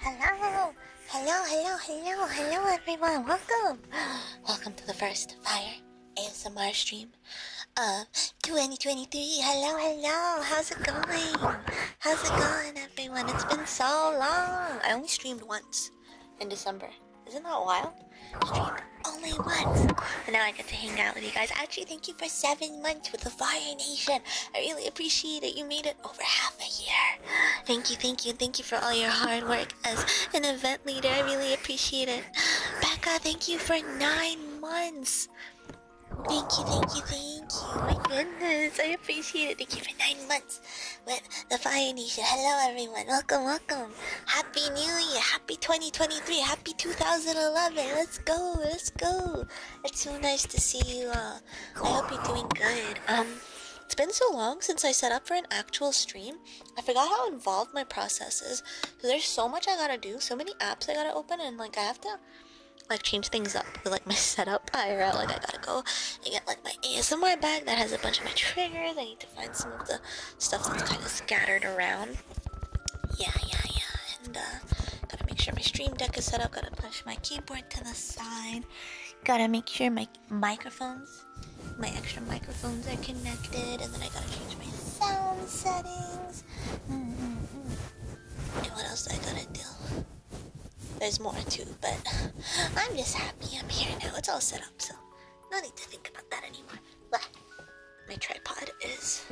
Hello, hello, hello, hello, hello, everyone. Welcome, welcome to the first Fire ASMR stream of 2023. Hello, hello. How's it going? How's it going, everyone? It's been so long. I only streamed once in December. Isn't that wild? Streamed only once, and now I get to hang out with you guys. Actually, thank you for seven seven months with the Fire Nation. I really appreciate it. You made it over half a year. Thank you, thank you, thank you for all your hard work as an event leader. I really appreciate it. Becca, thank you for nine months. Thank you, thank you, thank you. My goodness, I appreciate it. Thank you for nine months with the Fire Nation. Hello, everyone. Welcome, welcome. Happy New Year. Happy 2023. Happy 2011. Let's go, let's go. It's so nice to see you all. I hope you're doing good. Um, it's been so long since I set up for an actual stream. I forgot how involved my process is. So there's so much I gotta do, so many apps I gotta open, and like I have to like change things up with like my setup I gotta Like I gotta go I got like my ASMR bag that has a bunch of my triggers. I need to find some of the stuff that's kind of scattered around. Yeah, yeah, yeah and gotta make sure my stream deck is set up. Gotta push my keyboard to the side. Gotta make sure my microphones, my extra microphones are connected, and then I gotta change my sound settings. Mm-hmm. And what else I gotta do? There's more too, but I'm just happy I'm here now. It's all set up, so no need to think about that anymore. my tripod is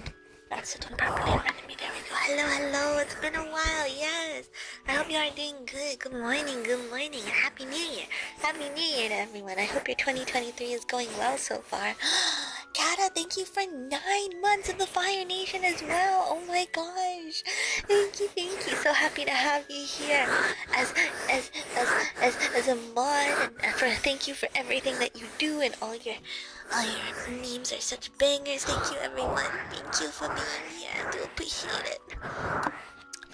Sit on properly in front There we go. Hello, hello. It's been a while. Yes. I hope you are doing good. Good morning. Good morning. Happy New Year. Happy New Year to everyone. I hope your 2023 is going well so far. Kada, thank you for nine months of the Fire Nation as well. Oh my gosh. Thank you, thank you. So happy to have you here as as as as, as a mod. And for, thank you for everything that you do and all your Oh, your names are such bangers. Thank you, everyone. Thank you for being here. I do appreciate it.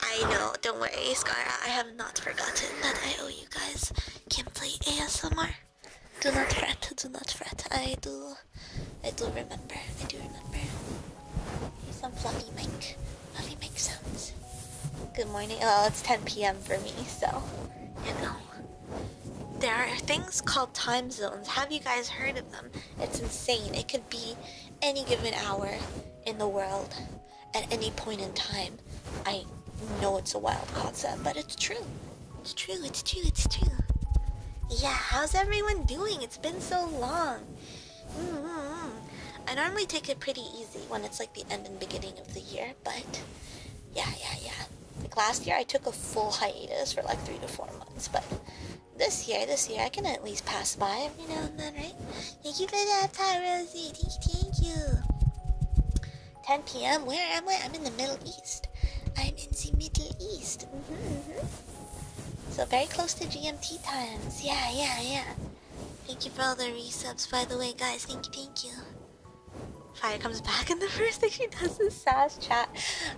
I know. Don't worry, Scara. I have not forgotten that I owe you guys Can't play ASMR. Do not fret. Do not fret. I do. I do remember. I do remember. Here's some fluffy mic. Fluffy mic sounds. Good morning. Well, it's 10 p.m. for me, so you know. There are things called time zones. Have you guys heard of them? It's insane. It could be any given hour in the world at any point in time. I know it's a wild concept, but it's true. It's true, it's true, it's true. Yeah, how's everyone doing? It's been so long. -hmm. I normally take it pretty easy when it's like the end and beginning of the year, but yeah, yeah, yeah. Like last year, I took a full hiatus for like three to four months, but this year, this year, I can at least pass by every now and then, right? Thank you for that, Pat Rosie. Thank you, 10 p.m. Where am I? I'm in the Middle East. I'm in the Middle East. -hmm, -hmm. So very close to GMT times. Yeah, yeah, yeah. Thank you for all the resubs, by the way, guys. Thank you, thank you. Fire comes back, and the first thing she does is sass chat.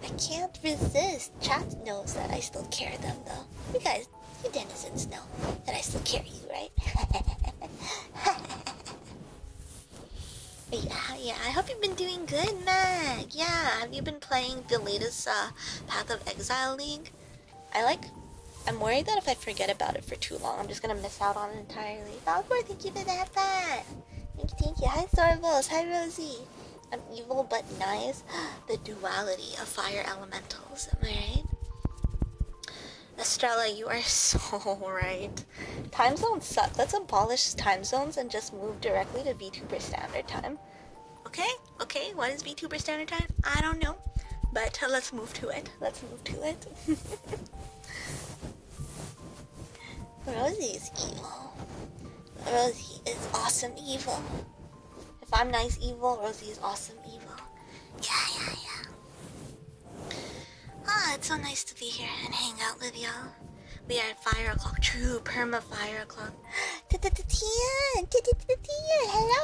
I can't resist. Chad knows that I still care them though. You guys, you denizens know that I still care you, right? yeah, yeah. I hope you've been doing good, Meg. Yeah, have you been playing the latest uh, Path of Exile League? I like. I'm worried that if I forget about it for too long, I'm just gonna miss out on it entirely. Valcor, thank you for that, Thank you, thank you. Hi, Sorbos. Hi, Rosie. I'm evil but nice, the duality of fire elementals. Am I right? Estrella, you are so right. Time zones suck. Let's abolish time zones and just move directly to VTuber standard time. Okay, okay, what is VTuber standard time? I don't know. But let's move to it. Let's move to it. Rosie is evil. Rosie is awesome evil. If I'm nice evil, Rosie is awesome evil. Yeah, yeah, yeah. Ah, it's so nice to be here and hang out with y'all. We are at fire o'clock, true perma fire o'clock. Hello,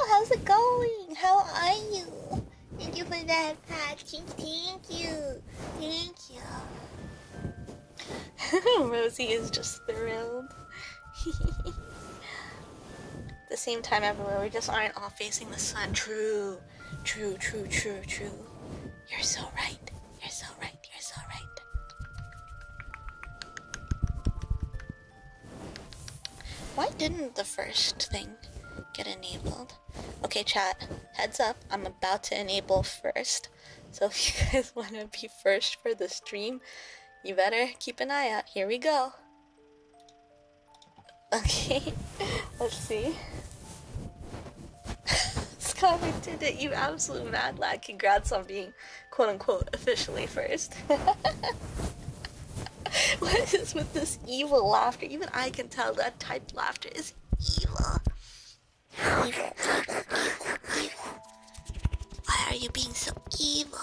how's it going? How are you? Thank you for that patch. Thank you. Thank you. Rosie is just thrilled. At the same time everywhere, we just aren't all facing the sun. True, true, true, true, true. You're so right. You're so right. You're so right. Why didn't the first thing get enabled? Okay, chat, heads up. I'm about to enable first so if you guys want to be first for the stream, you better keep an eye out. Here we go. Okay, let's see. Scott, we did it. You absolute mad lad. Congrats on being quote unquote officially first. what is with this evil laughter? Even I can tell that type laughter is evil. Why are you being so evil?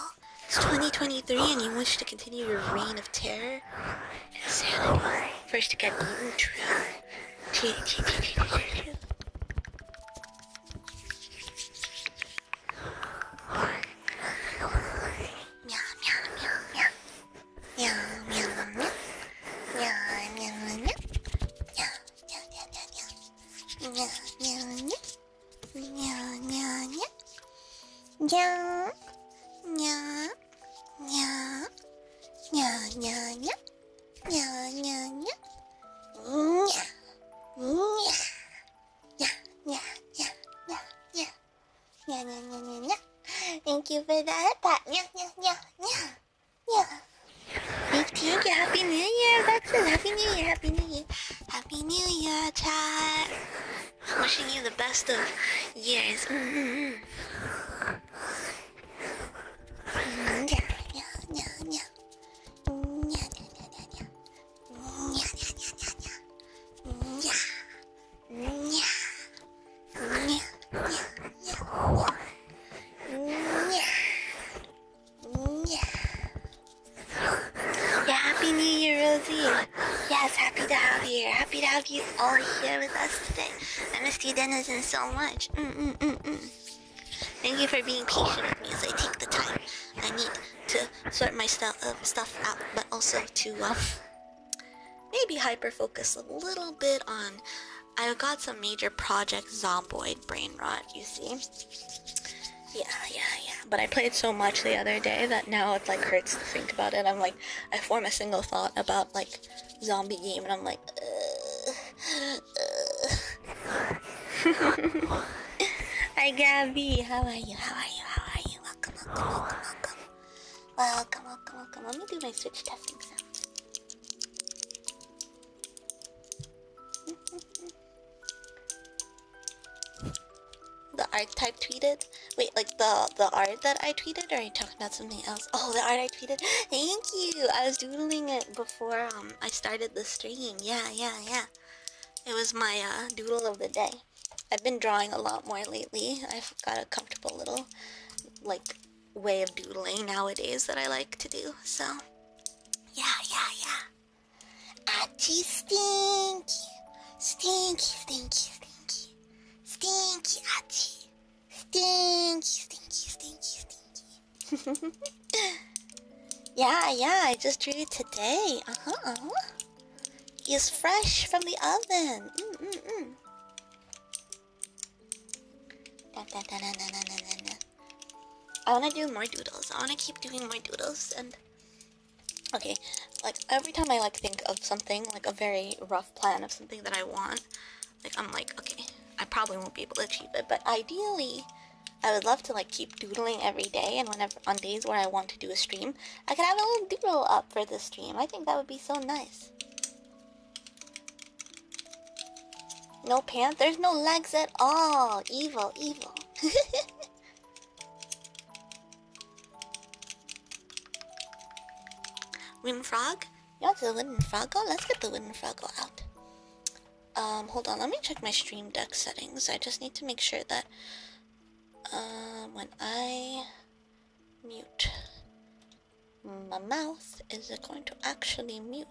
It's 2023 and you wish to continue your reign of terror? Insanity. First you got Eden True. Nya, nya, nya. Nya, nya, nya. Nya, nya, nya. Nya, nya, nya. Nya, nya, nya. Nya, nya. Nya, nya, nya, nya, nya. Nya, nya, nya, nya, nya. Thank you for that. That, nya, nya, nya, nya. Yeah. Happy New Year! That's it. Happy New Year! Happy New Year! Happy New Year, chat! Wishing you the best of years. Yeah. Yeah. Yeah, Happy New Year, Rosie. Yes, happy to have you here. Happy to have you all here with us today. I missed you, Denizen, so much. Mm, mm -mm -mm Thank you for being patient with me as I take the time I need to sort my stu uh, stuff out, but also to um, maybe hyper focus a little bit on. I got some major projects zomboid brain rot, you see? Yeah, yeah, yeah. But I played so much the other day that now it like hurts to think about it. I'm like, I form a single thought about like zombie game, and I'm like, uh, uh. Hi Gabby, how are you? How are you? How are you? Welcome, welcome, welcome, welcome. Welcome, welcome, welcome. Let me do my switch testing sound. The archetype tweeted? Wait, like the the art that I tweeted or are you talking about something else? Oh the art I tweeted? Thank you! I was doodling it before um I started the stream. Yeah, yeah, yeah. It was my uh, doodle of the day. I've been drawing a lot more lately. I've got a comfortable little like way of doodling nowadays that I like to do, so yeah, yeah, yeah. Auntie Stinky. Stinky, stinky, stinky. Stinky, Auntie. Stinky, stinky, stinky, stinky. yeah, yeah, I just drew it today. Uh huh. Uh -huh. It's fresh from the oven. Mm -mm -mm. Da, da, da, da, da, da, da, da. I wanna do more doodles. I wanna keep doing more doodles and okay, like every time I like think of something, like a very rough plan of something that I want, like I'm like, okay, I probably won't be able to achieve it, but ideally I would love to like keep doodling every day and whenever on days where I want to do a stream, I could have a little doodle up for the stream. I think that would be so nice. No pants? There's no legs at all. Evil, evil. wooden frog? Yeah, the wooden froggo. Let's get the wooden frog out. Um, hold on. Let me check my stream deck settings. I just need to make sure that uh, when I mute my mouth, is it going to actually mute?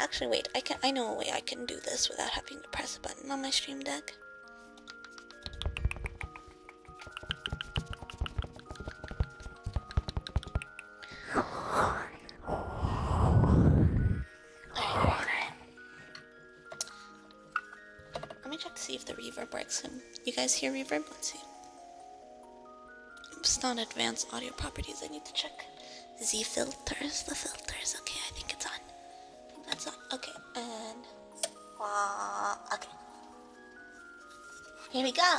Actually, wait. I can. I know a way I can do this without having to press a button on my stream deck. Let me check to see if the reverb works. You guys hear reverb? Let's see. It's not advanced audio properties. I need to check. Z filters, the filters. Okay, I think it's on. I think that's on. Okay, and. Uh, okay. Here we go.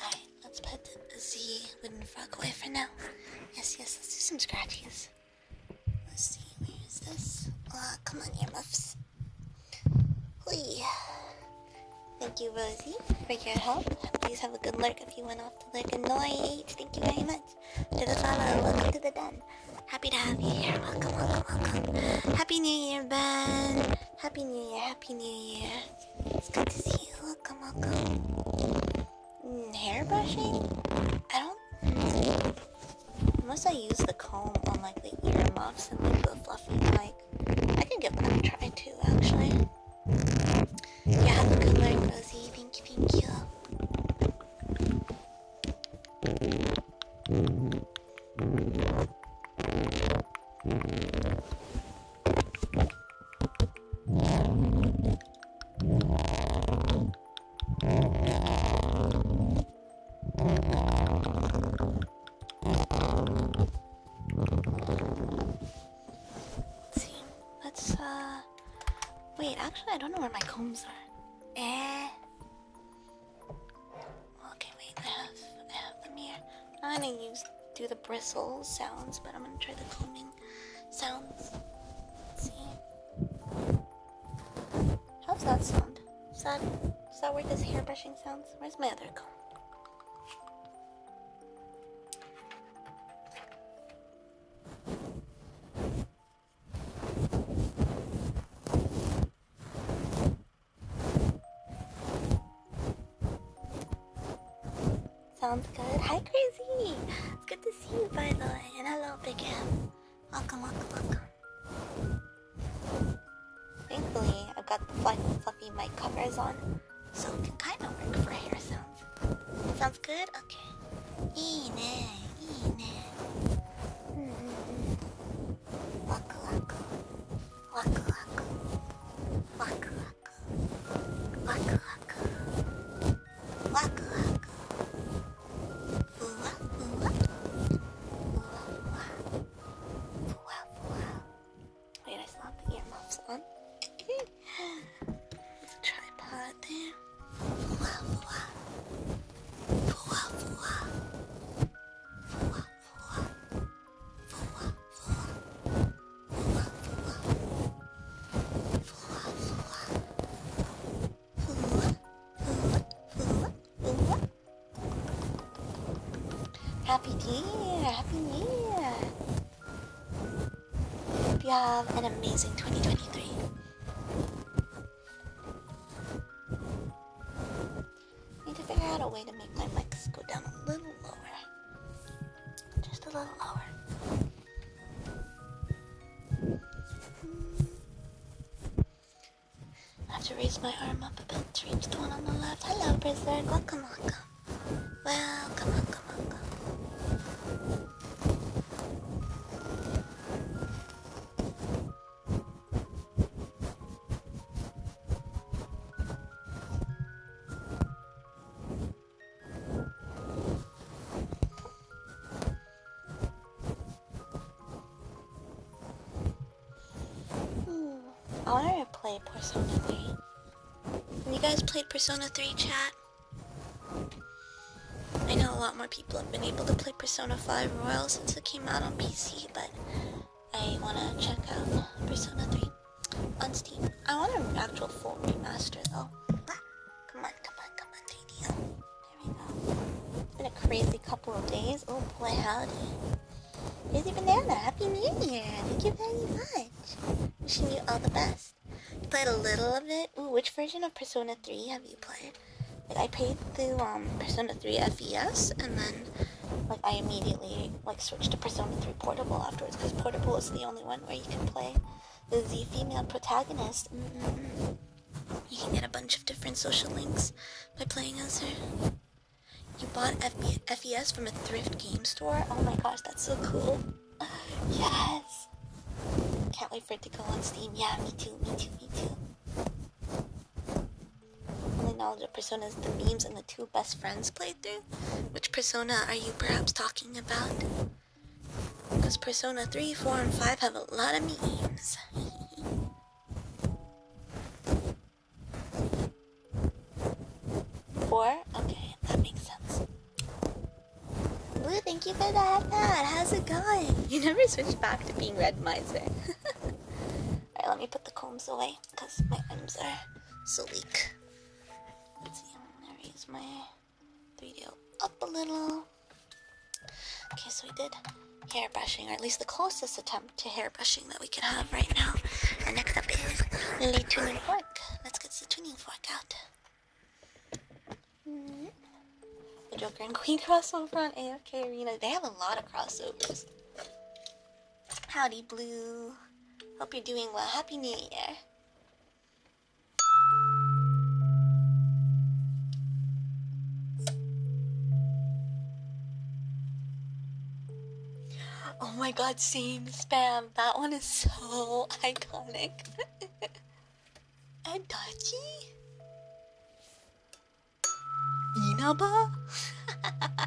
Alright, let's put the Z wooden frog away for now. Yes, yes, let's do some scratches. Let's see, where is this? Ah, come on, earmuffs. Whee. Thank you, Rosie, for your help. Please have a good look if you went off to look And night. thank you very much. To the follow, uh, welcome to the den. Happy to have you here. Welcome, welcome, welcome. Happy New Year, Ben. Happy New Year, Happy New Year. It's good to see you. Welcome, welcome. Mm, hair brushing? I don't. Unless I use the comb on like the ear muffs and like the fluffy kind. I can give that a try too, actually. Yeah, have a good one, Rosie. Let's uh. Wait, actually, I don't know where my combs are. Eh. Okay, wait. I have, I have them here. I'm gonna use do the bristle sounds, but I'm gonna try the combing sounds. see. How's that sound? sound? Is that, is that where this hairbrushing sounds? Where's my other comb? Sounds good. Hi, Crazy! It's good to see you, by the way. And hello, Big M. Welcome, welcome, welcome. Thankfully, I've got the fluffy mic covers on, so it can kind of work for hair sounds. Sounds good? Okay. 이네, 이네. Waku waku, waku waku, waku waku, waku waku, waku waku. Ooh, ooh, ooh, ooh, ooh. Fuwa, fuwa. Wait, I still have the earmuffs on. Tripod there. Fuwa, fuwa. Fuwa, fuwa. Fuwa, fuwa. Fuwa, fuwa. Fuwa, fuwa. Fuwa, fuwa. Fuwa, fuwa. Fuwa, fuwa. Happy New Year! Happy New Year! Hope you have an amazing 2023. Need to figure out a way to make my mics go down a little lower. Just a little lower. I have to raise my arm up a bit to reach the one on the left. Hello, Berserk. Welcome, welcome. Welcome, welcome, welcome. Hmm. I want to play Persona 3. Have you guys played Persona 3 chat? I know a lot more people have been able to play Persona 5 Royal since it came out on PC, but I want to check out Persona 3 on Steam. I want an actual full remaster though. Come on, come on, come on, JDL. There we go. It's been a crazy couple of days. Oh boy, howdy. Here's banana. Happy New Year. Thank you very much. Wishing you all the best. played a little of it. Ooh, which version of Persona 3 have you played? I played the um, Persona 3 FES, and then like I immediately like switched to Persona 3 Portable afterwards because Portable is the only one where you can play the female protagonist. Mm-hmm. You can get a bunch of different social links by playing as her. You bought FES from a thrift game store? Oh my gosh, that's so cool. Yes! Can't wait for it to go on Steam. Yeah, me too, me too, me too. Only knowledge of Persona is the memes and the two best friends playthrough. Which Persona are you perhaps talking about? Because Persona 3, 4, and 5 have a lot of memes. Four? Okay, that makes sense. Blue, thank you for the hat pad. How's it going? You never switched back to being red miser. Eh? Alright, let me put the combs away because my arms are so weak. Let's see, I'm gonna raise my 3DO up a little. Okay, so we did hair brushing, or at least the closest attempt to hair hair brushing that we can have right now. And next up is Lily Tuning Fork. Let's get the tuning fork out. The Joker and Queen crossover on AFK Arena. They have a lot of crossovers. Howdy, Blue. Hope you're doing well. Happy New Year. Oh my god, same spam. That one is so iconic. Adachi? Inaba?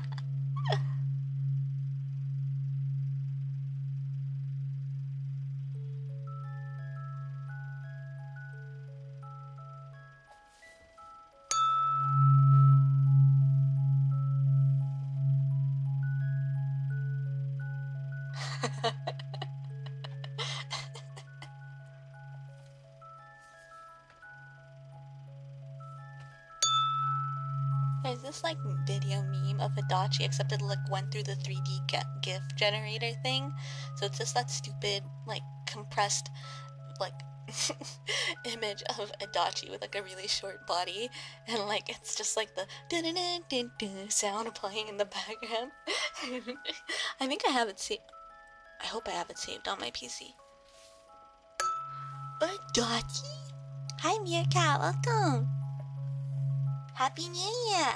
Is this like video meme of a Adachi except it like went through the 3D GIF generator thing? So it's just that stupid like compressed like image of a Adachi with like a really short body and like it's just like the dun -dun -dun -dun -dun sound playing in the background. I think I have it saved. I hope I have it saved on my PC. Adachi? Hi Meerkat, welcome! Happy New Year!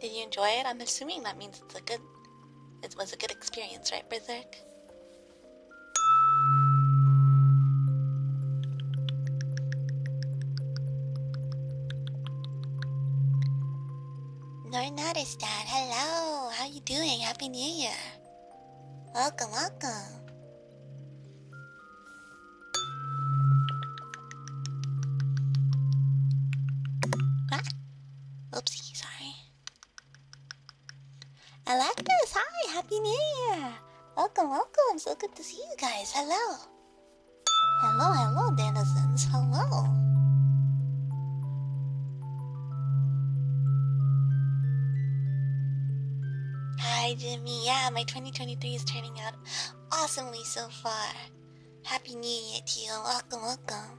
Did you enjoy it? I'm assuming that means it's a good it was a good experience, right, Berserk? No noticed that. Hello, how you doing? Happy New Year. Welcome, welcome. Ah. Oopsie, sorry. Alactus, hi! Happy New Year! Welcome, welcome! So good to see you guys. Hello! Hello, hello, denizens. Hello! Hi, Jimmy. Yeah, my 2023 is turning out awesomely so far. Happy New Year to you. Welcome, welcome.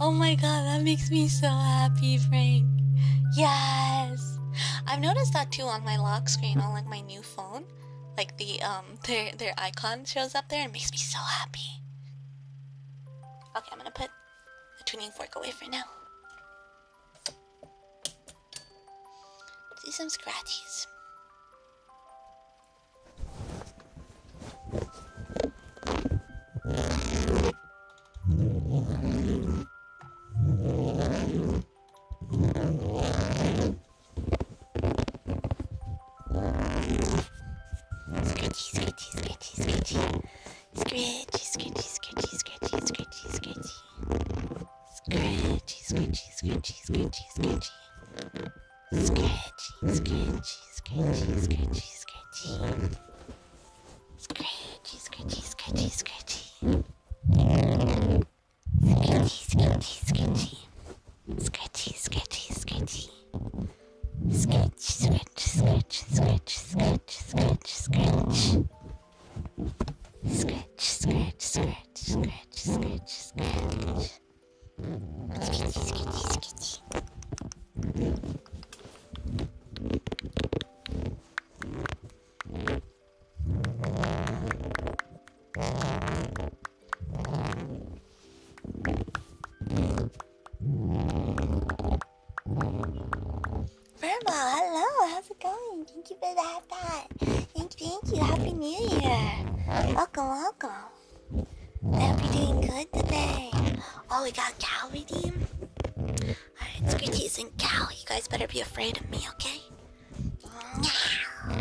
Oh my god, that makes me so happy, Frank. Yes. I've noticed that too on my lock screen on like my new phone. Like the um their their icon shows up there and makes me so happy. Okay, I'm gonna put the tuning fork away for now. See some scratchies scratchy, scratchy, scratchy, scratchy. Sketchy, sketchy, sketchy, sketchy, sketchy. Sketchy, sketchy, sketchy, sketchy. Sketchy, sketchy, sketchy. Sketchy, sketchy, sketchy. Sketch, sketch, sketch, sketch, sketch, sketch, sketch. Sketch, sketch, sketch, sketch, sketch, sketch. Sketchy, sketchy, sketchy. Verma, hello, how's it going? Thank you for that. Thank, you, thank you. Happy New Year. Welcome, welcome. Everything good today. Oh, we got cow redeem. Alright, it's Scritties and Cal. You guys better be afraid of me, okay? Cow,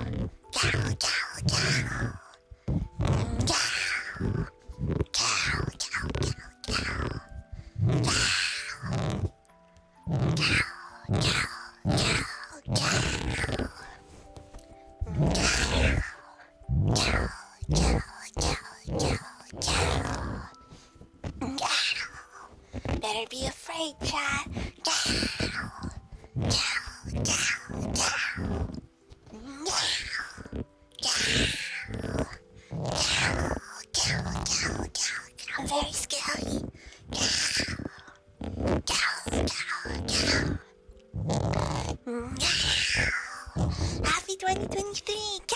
cow, cow, cow. Cow, cow, cow, cow, cow. Cow, cow, cow, cow. Cow, cow, cow, cow. Cow, cow, cow, cow, cow. Cow. Better be afraid, Chad. Cow. Cow, cow, cow. Cow. Cow. Cow, cow, cow, cow. I'm very scary. Cow. Cow, cow, cow. Happy 2023! Cow!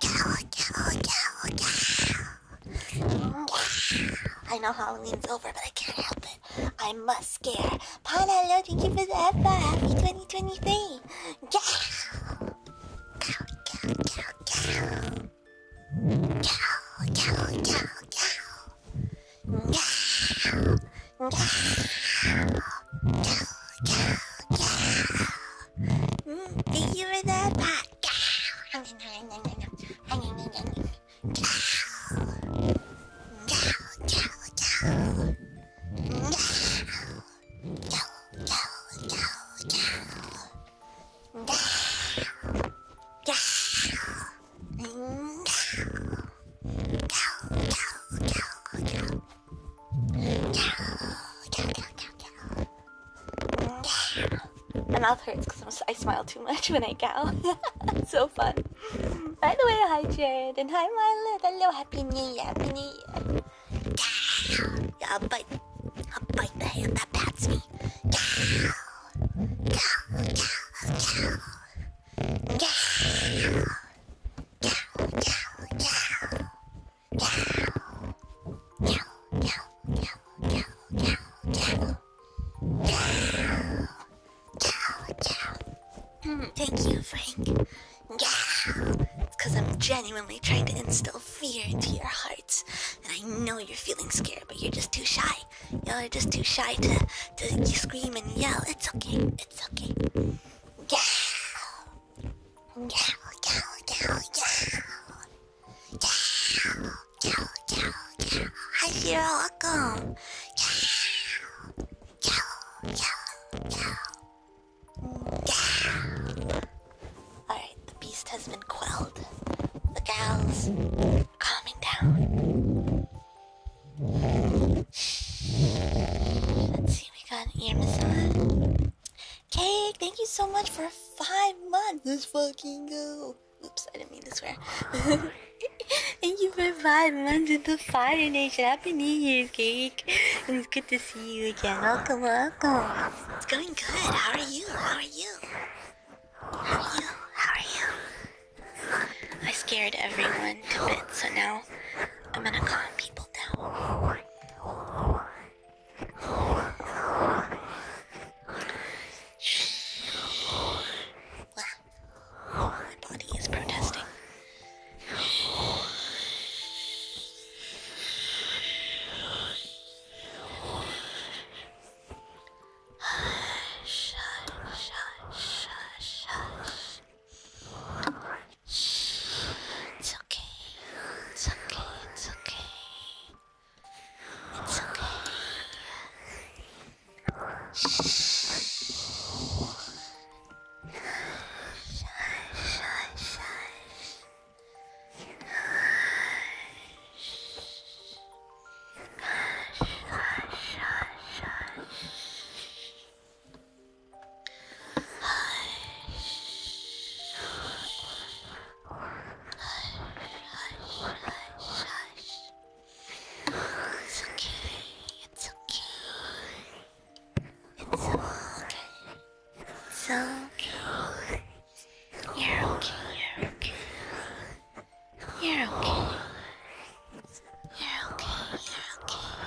Cow, cow, cow, cow. I know Halloween's over, but I can't help it. I must scare. Panalo, thank you for the Eva. Happy 2023! Cow! Cow, cow, cow, cow. Cow, cow, Mm, do you hear that? My mouth hurts because I smile too much when I cow. it's so fun. By the way, hi Jared and hi Milet. Hello, happy new year, happy new year. I'll bite, I'll bite the hand that pats me. Cow, cow, cow, cow. Mm, thank you, Frank. Yeah, because I'm genuinely trying to instill fear into your hearts, and I know you're feeling scared, but you're just too shy. Y'all are just too shy to to scream and yell. It's okay. It's okay. Yow! Yow, yow, yow, yow. Yow, yow, yow, yow. Hi, you're welcome. Yow, yow, yow, yow. Yow. Alright, the beast has been quelled. The gal's calming down. Let's see, we got an ear Cake, thank you so much for five months. Let's fucking go. Oops, I didn't mean to swear. thank you for five months into Fire Nation. Happy New Year's, Cake. And it's good to see you again. Welcome, welcome. It's going good. How are you? How are you? How are you? How are you? I scared everyone to bits, so now now. I'm gonna calm people down. Wow. My body is protesting. Shush, shush, shush, shush. It's okay. It's okay. It's okay. It's okay. Hush, hush, hush, hush. Hush. Hush, hush, hush, hush. It's okay. It's okay. It's okay. It's okay. You're okay. You're okay. You're okay. You're okay. You're okay. You're okay.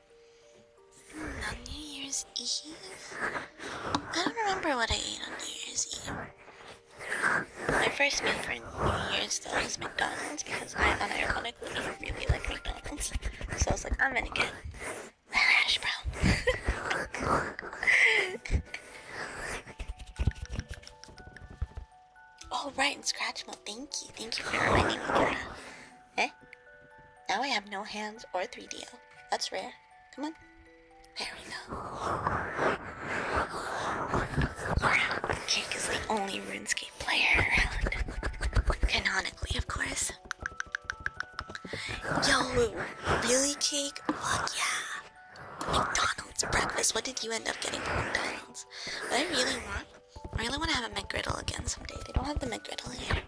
On New Year's Eve? I don't remember what I ate on New Year's Eve. My first meal for New Year's though was McDonald's because I unironically really like McDonald's. So I was like, I'm gonna get a hash brown. All oh, right, and Scratch Mode, thank you. Thank you for coming me Eh? Now I have no hands or 3DO. That's rare. Come on. There we go. cake is the only RuneScape player Canonically, of course. Yo, really, cake? Fuck yeah. McDonald's breakfast. What did you end up getting for McDonald's? What I really want I really want to have a McGriddle again someday. They don't have the McGriddle here.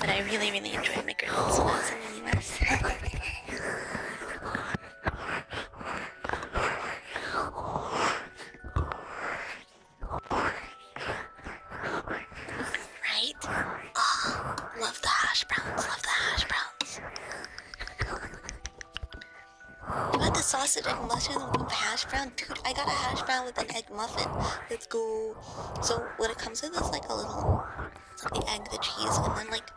But I really, really enjoy McGriddles in the US. right? Oh, love the hash browns, love the hash browns. You had the sausage and mushrooms hash browns. Dude, I got a hash brown with an egg muffin. Let's go. So when it comes to this, like a little, like the egg, the cheese, and then like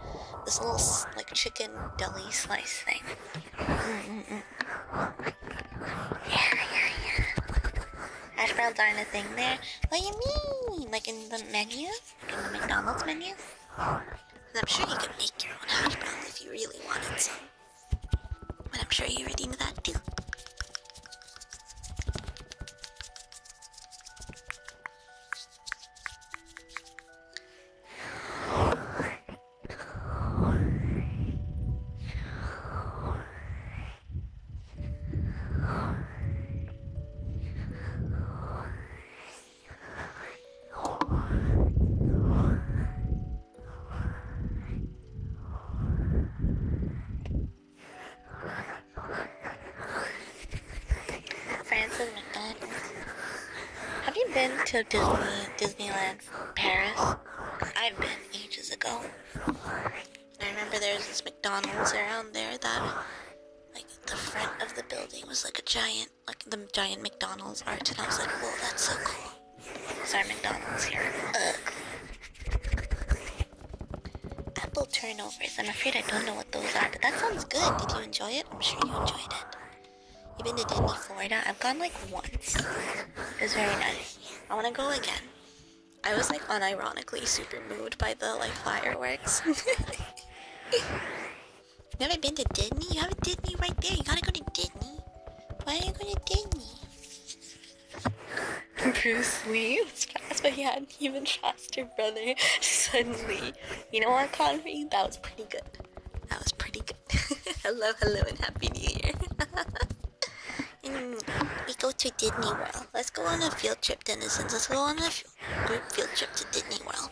this little like chicken deli slice thing. Yeah, yeah, yeah. Hash browns aren't a thing there. What do you mean? Like in the menu? In the McDonald's menu? I'm sure you can make your own hash brown if you really wanted to. But I'm sure you redeemed that too. Francis McDonald. Have you been to Disney Disneyland Paris? I've been ages ago. I remember there was this McDonald's around there that like the front of the building was like a giant like the giant McDonald's art and I was like, whoa that's so cool. Sorry, McDonald's here. Apple turnovers. I'm afraid I don't know what those are, but that sounds good. Did you enjoy it? I'm sure you enjoyed it. You've been to Disney, Florida? I've gone like once. It was very nice. I want to go again. I was like unironically super moved by the like fireworks. Never been to Disney? You have a Disney right there. You gotta go to Disney. Why are you going to Disney? Bruce Lee was fast, but he had not even faster brother suddenly. You know what, Conry? That was pretty good. That was pretty good. hello, hello, and happy new year. Mm, we go to Disney World. Let's go on a field trip, denizens. Let's go on a group field trip to Disney World.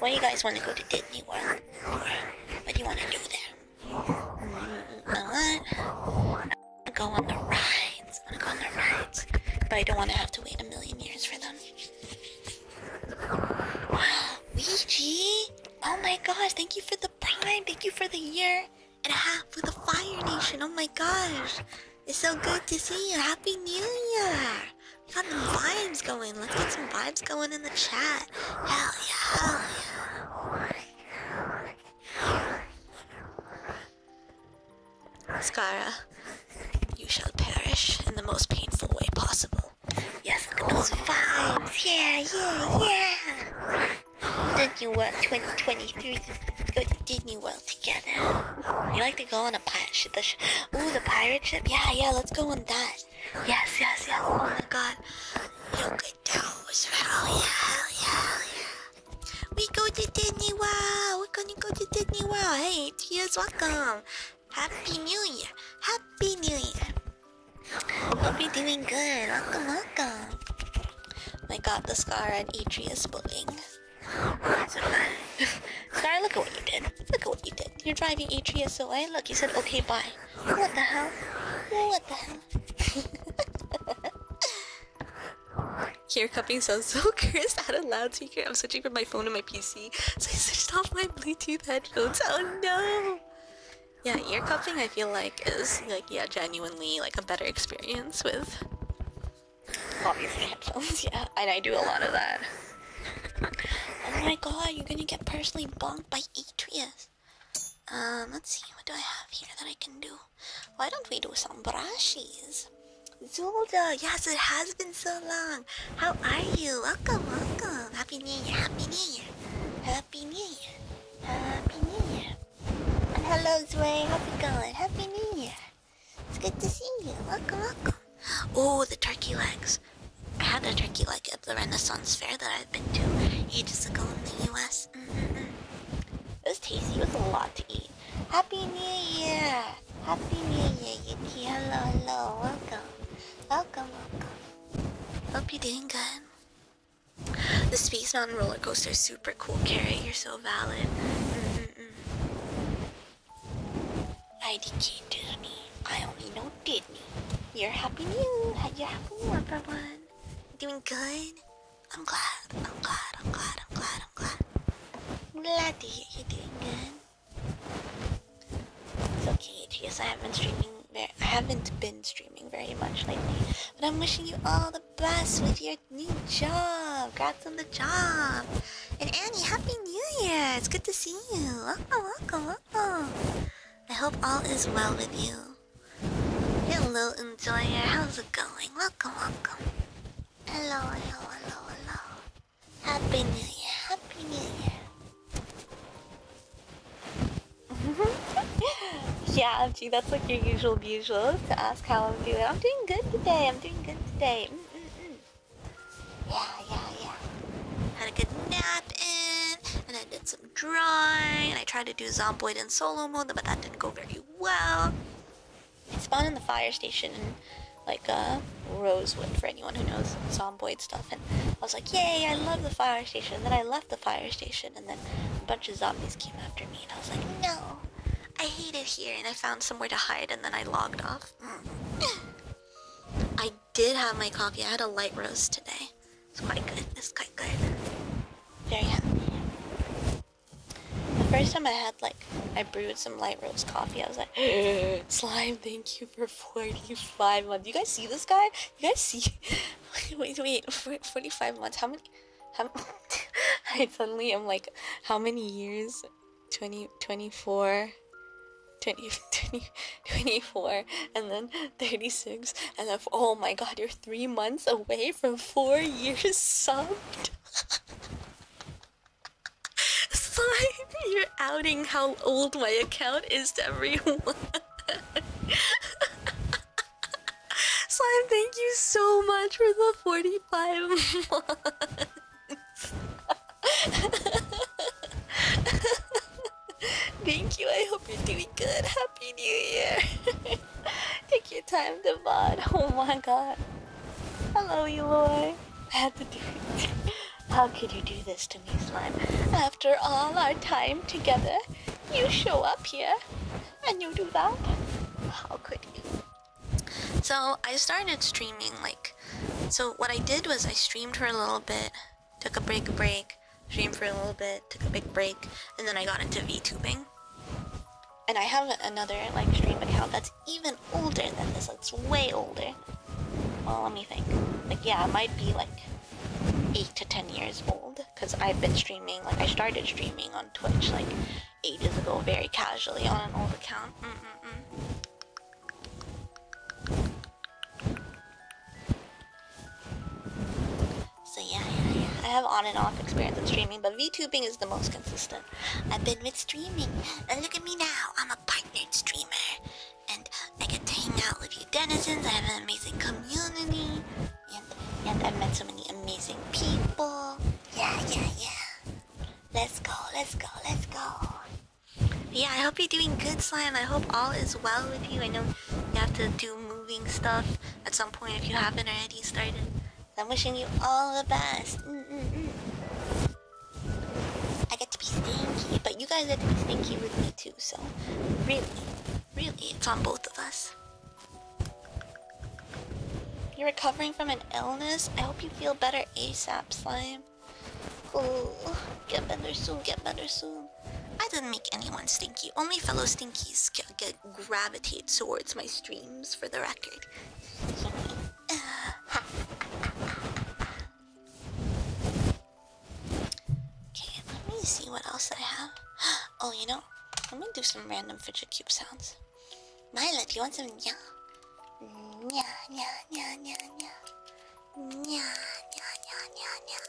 Why you guys want to go to Disney World? what do you want to do there? What? i go on the rides. i go on the rides. But I don't want to have to wait a million years for them. Ouija! Oh my gosh, thank you for the prime. Thank you for the year and a half with the Fire Nation. Oh my gosh. It's so good to see you. Happy New Year. We got the vibes going. Let's get some vibes going in the chat. Hell yeah. Hell yeah. Skara, you shall perish in the most painful way possible. Yes, look at those vibes! Yeah, yeah, yeah! Disney World 2023. go to Disney World together. You like to go on a pirate ship? The Ooh, the pirate ship? Yeah, yeah, let's go on that. Yes, yes, yes. Oh my god. We go to Disney World. We're gonna go to Disney World. Hey, it's welcome. Happy New Year. Happy New Year. Hope you're doing good. Welcome, welcome. My God, the scar on Atria is bullying. Scar, look at what you did. Look at what you did. You're driving Atreus away. Look, you said okay, bye. What the hell? What the hell? Here, cupping sounds so cursed out of loudspeaker. I'm switching from my phone to my PC, so I switched off my Bluetooth headphones. Oh no! Yeah, ear cupping I feel like is like yeah, genuinely like a better experience with obviously headphones, yeah. And I do a lot of that. oh my god, you're gonna get personally bonked by Atreus. Um, let's see, what do I have here that I can do? Why don't we do some brushes? Zelda, yes, it has been so long. How are you? Welcome, welcome. Happy New Year, Happy New Year. Happy New Year. Happy New Year. And hello, Zway. How's it going? Happy New Year. It's good to see you. Welcome, welcome. Oh, the turkey legs. I had a turkey leg at the Renaissance Fair that I've been to ages ago in the US. Mm-hmm. It was tasty. It was a lot to eat. Happy New Year! Happy New Year, Yuki. Hello, hello. Welcome. Welcome, welcome. Hope you're doing good. The Space Mountain roller coaster is super cool, Carrie. You're so valid. Mm-hmm. I did -mm. IDK Disney. I only know Disney. You're happy new. Had your happy new everyone. Doing good? I'm glad, I'm glad, I'm glad, I'm glad, I'm glad. I'm glad to hear you're doing good. It's okay, Tias, I haven't streaming I haven't been streaming very much lately. But I'm wishing you all the best with your new job. Congrats on the job. And Annie, Happy New Year! It's good to see you. Welcome, welcome, welcome. I hope all is well with you. Hello, enjoyer. How's it going? Welcome, welcome. Hello, hello, hello, hello. Happy New Year. Happy New Year. yeah, MG, that's like your usual usual to ask how I'm doing. I'm doing good today. I'm doing good today. Mm, mm -mm Yeah, yeah, yeah. Had a good nap in, and I did some some dry, and I tried to do Zomboid in solo mode, but that didn't go very well. I spawned in the fire station in like uh, Rosewood for anyone who knows Zomboid stuff, and I was like, yay, I love the fire station. then I left the fire station, and then a bunch of zombies came after me, and I was like, no, I hate it here, and I found somewhere to hide, and then I logged off. I did have my coffee. I had a light roast today. It's quite good. It's quite good. Very happy. The first time I had like I brewed some light roast coffee, I was like, slime, thank you for 45 months. You guys see this guy? You guys see? wait, wait, wait, 45 months. How many? I suddenly am like, how many years? 20, 24. 20, 24 and then 36 and then oh my god you're three months away away from four years subbed. Slime, you're outing how old my account is to everyone. Slime, thank you so much for the 45 months. thank you, I hope you're doing good. Happy New Year! Take your time to bud. Oh my god. Hello, Eloy. I had to do it. How could you do this to me, Slime? After all our time together, you show up here and you do that? How could you? So I started streaming like so what I did was I streamed for a little bit, took a break break, streamed for a little bit, took a big break, and then I got into VTubing. And I have another like stream account that's even older than this. It's way older. Well, let me think. Like, yeah, it might be like eight to ten years old. Cause I've been streaming. Like, I started streaming on Twitch like ages ago, very casually on an old account. So yeah, yeah, yeah, I have on and off experience with streaming, but VTubing is the most consistent. I've been with streaming, and look at me now. I'm a partnered streamer, and I get to hang out with you denizens. I have an amazing community, and and I've met so many amazing people. Yeah, yeah, yeah. Let's go, let's go, let's go. Yeah, I hope you're doing good, Slime. I hope all is well with you. I know you have to do moving stuff at some point if you haven't already started. I'm wishing you all the best. Mm, mm, mm. I get to be stinky, but you guys get to be stinky with me too, so really, really, it's on both of us. You're recovering from an illness? I hope you feel better ASAP, Slime. get better soon, get better soon. I didn't make anyone stinky, only fellow stinkies get uh, gravitate towards my streams for the record. okay, let me see what else I have. Oh, you know, let me do some random fidget cube sounds. Nyla, do you want some nya? Nya, nya, nya, nya, nya. Nya, nya, nya, nya, nya.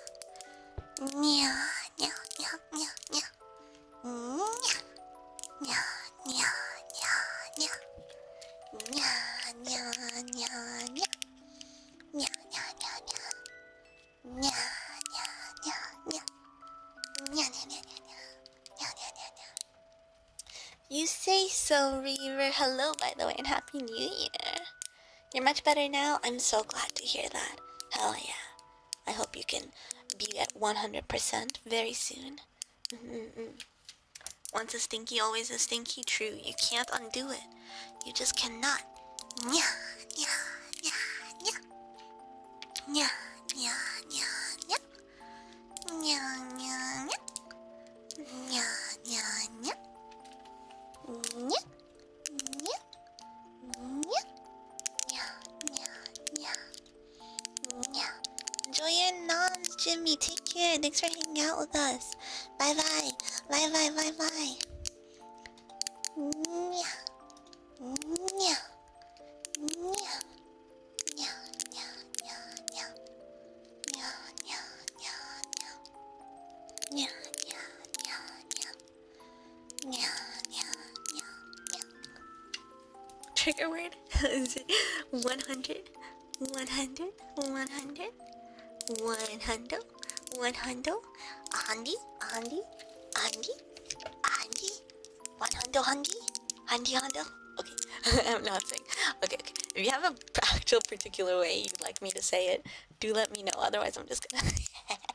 Nya, nya, nya, nya, nya. You say so, Reaver. Hello, by the way, and Happy New Year. You're much better now. I'm so glad to hear that. Hell yeah. I hope you can be at 100% very soon. Mm-hmm. Once a stinky, always a stinky. True, you can't undo it. You just cannot. Enjoy your noms, Jimmy. Take care. Thanks for hanging out with us. Bye bye. Bye bye. Bye bye. Yeah, yeah, yeah, yeah. Trigger word is 100, 100, 100, 100, 100, Andy, Andy, Andy, Andy, 100, Andy, Andy, Andy. Okay, I'm not saying. Okay, okay. If you have a actual particular way you'd like me to say it, do let me know. Otherwise, I'm just gonna.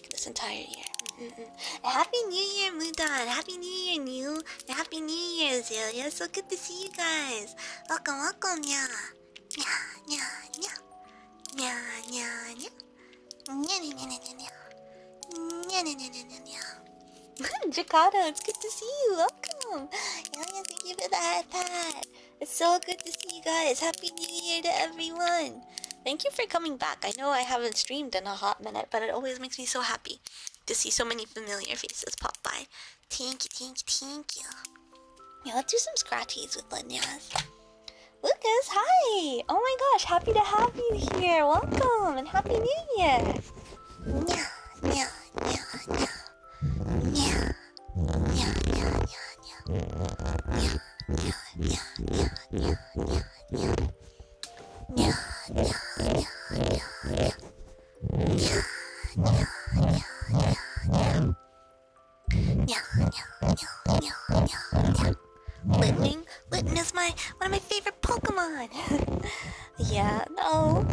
work this entire year. Mm -mm. Happy New Year, Mudon! Happy New Year, New! Happy New Year, Azalea! So good to see you guys! Welcome, welcome, nya! Nya, nya, nya! Nya, nya, nya! Nya, nya, nya, nya, nya! Nya, nya, nya, nya, nya, Jakarta, it's good to see you! Welcome! Ilya, thank you for the iPad! It's so good to see you guys! Happy New Year to everyone! Thank you for coming back. I know I haven't streamed in a hot minute, but it always makes me so happy to see so many familiar faces pop by. Thank you, thank you, thank you. Yeah, let's do some scratchies with Lanyas. Lucas, hi! Oh my gosh, happy to have you here. Welcome and happy new year. Yeah, yeah, yeah, yeah. Yeah, yeah, yeah, yeah, yeah. Yeah, yeah, yeah, yeah, yeah, yeah. Lightning, Litten is my one of my favorite Pokemon. yeah, no.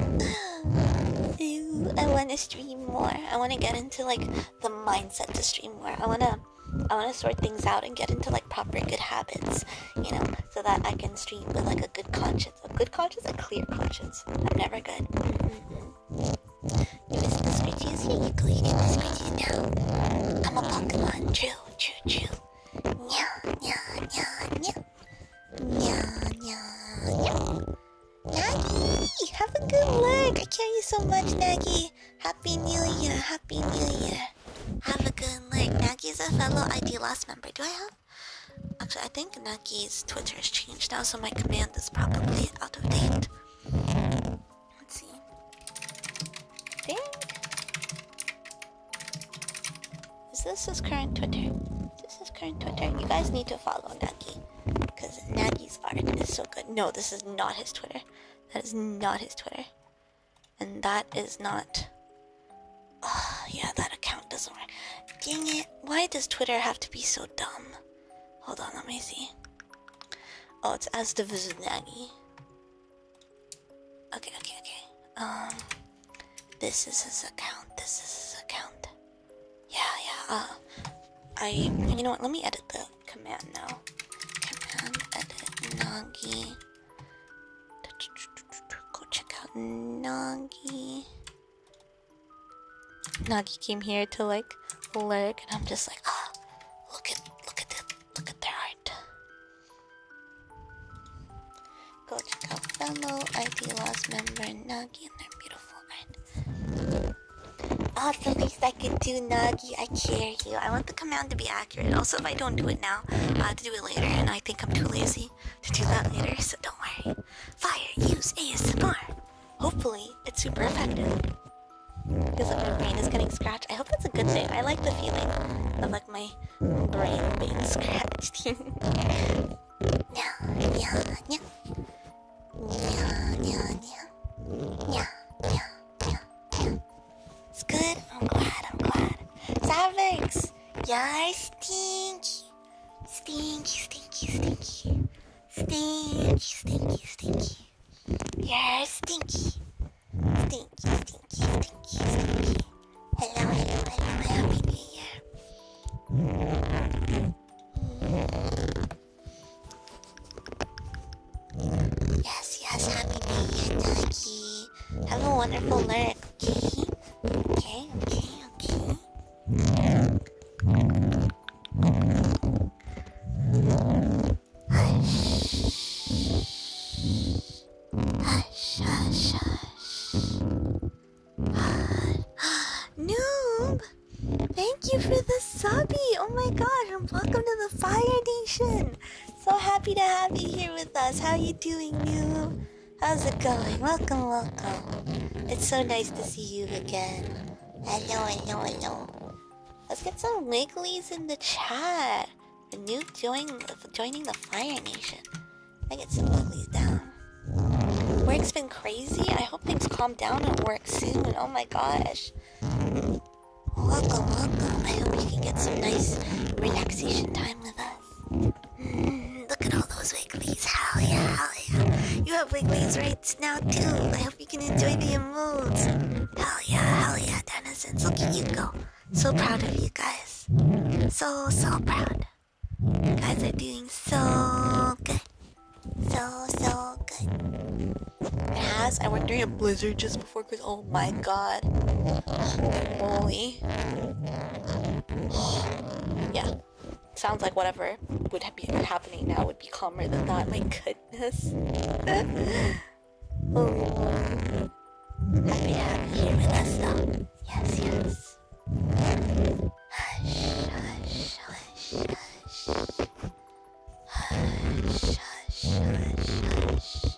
Ew, I want to stream more. I want to get into like the mindset to stream more. I want to I want to sort things out and get into like proper good habits, you know, so that I can stream with like a good conscience. A good conscience, a clear conscience. I'm never good. Mm-hmm. You miss the screeches? Yeah, you go. You get the screeches now. I'm a Pokemon. True, true, true. Nya, nya, nya, nya. Nya, nya, nya. Nagi! Have a good luck! I care you so much, Nagi! Happy New Year! Happy New Year! Have a good night. Naki's a fellow ID Lost member. Do I have? Actually, I think Naki's Twitter has changed now, so my command is probably out of date. Let's see. I think. Is this his current Twitter? this is current Twitter? You guys need to follow Nagi. Because Nagi's art is so good. No, this is not his Twitter. That is not his Twitter. And that is not. Oh, yeah, that account doesn't work. Dang it. Why does Twitter have to be so dumb? Hold on, let me see. Oh, it's as the Vizinagi. Okay, okay, okay. Um, this is his account. This is his account. Yeah, yeah. Uh, I. You know what? Let me edit the command now. Command edit Nagi. Go check out Nagi. Nagi came here to like lurk, and I'm just like, ah, look at, look at the, look at their art. Go check out fellow ID Lost member Nagi and their beautiful art. Oh, ah, the least I could do, Nagi. I care you. I want the command to be accurate. Also, if I don't do it now, I have to do it later, and I think I'm too lazy to do that later, so don't worry. Fire, use ASMR. Hopefully, it's super effective. Because like my brain is getting scratched. I hope that's a good thing. I like the feeling of like my brain being scratched. yeah, yeah, yeah. Yeah, yeah, yeah. Yeah, yeah, yeah, yeah. It's good. I'm glad. I'm glad. Savix. Yeah, stinky. Stinky, stinky, stinky. Stinky, stinky, stinky. Yeah, stinky. Stinky, stinky, stinky, stinky. Hello, hello, hello. Happy Yes, yes, Happy New Year, Ducky. Have a wonderful night. okay? Okay, okay, okay. Hush. Hush, hush, Noob! Thank you for the subby! Oh my god, and welcome to the Fire Nation! So happy to have you here with us. How you doing, Noob? How's it going? Welcome, welcome. It's so nice to see you again. I I know, know, I know. Let's get some wiggles in the chat. The new joining the Fire Nation. I get some wiggles down. Work's been crazy. I hope things calm down at work soon. Oh my gosh. Welcome, welcome. I hope you can get some nice relaxation time with us. Look at all those Wigglies. Hell yeah, hell yeah. You have Wigglies right now, too. I hope you can enjoy the moods. Hell yeah, hell yeah, denizens. Look at you go. So proud of you guys. So, so proud. You guys are doing so good. So, so good. As I went during a blizzard just this before Christmas. Oh my god. Holy. yeah. Sounds like whatever would be happening now would be calmer than that. My goodness. Holy oh. Lord. Happy to have you here with us though. Yes, yes. Hush, hush, hush, hush. Hush, hush, hush, hush.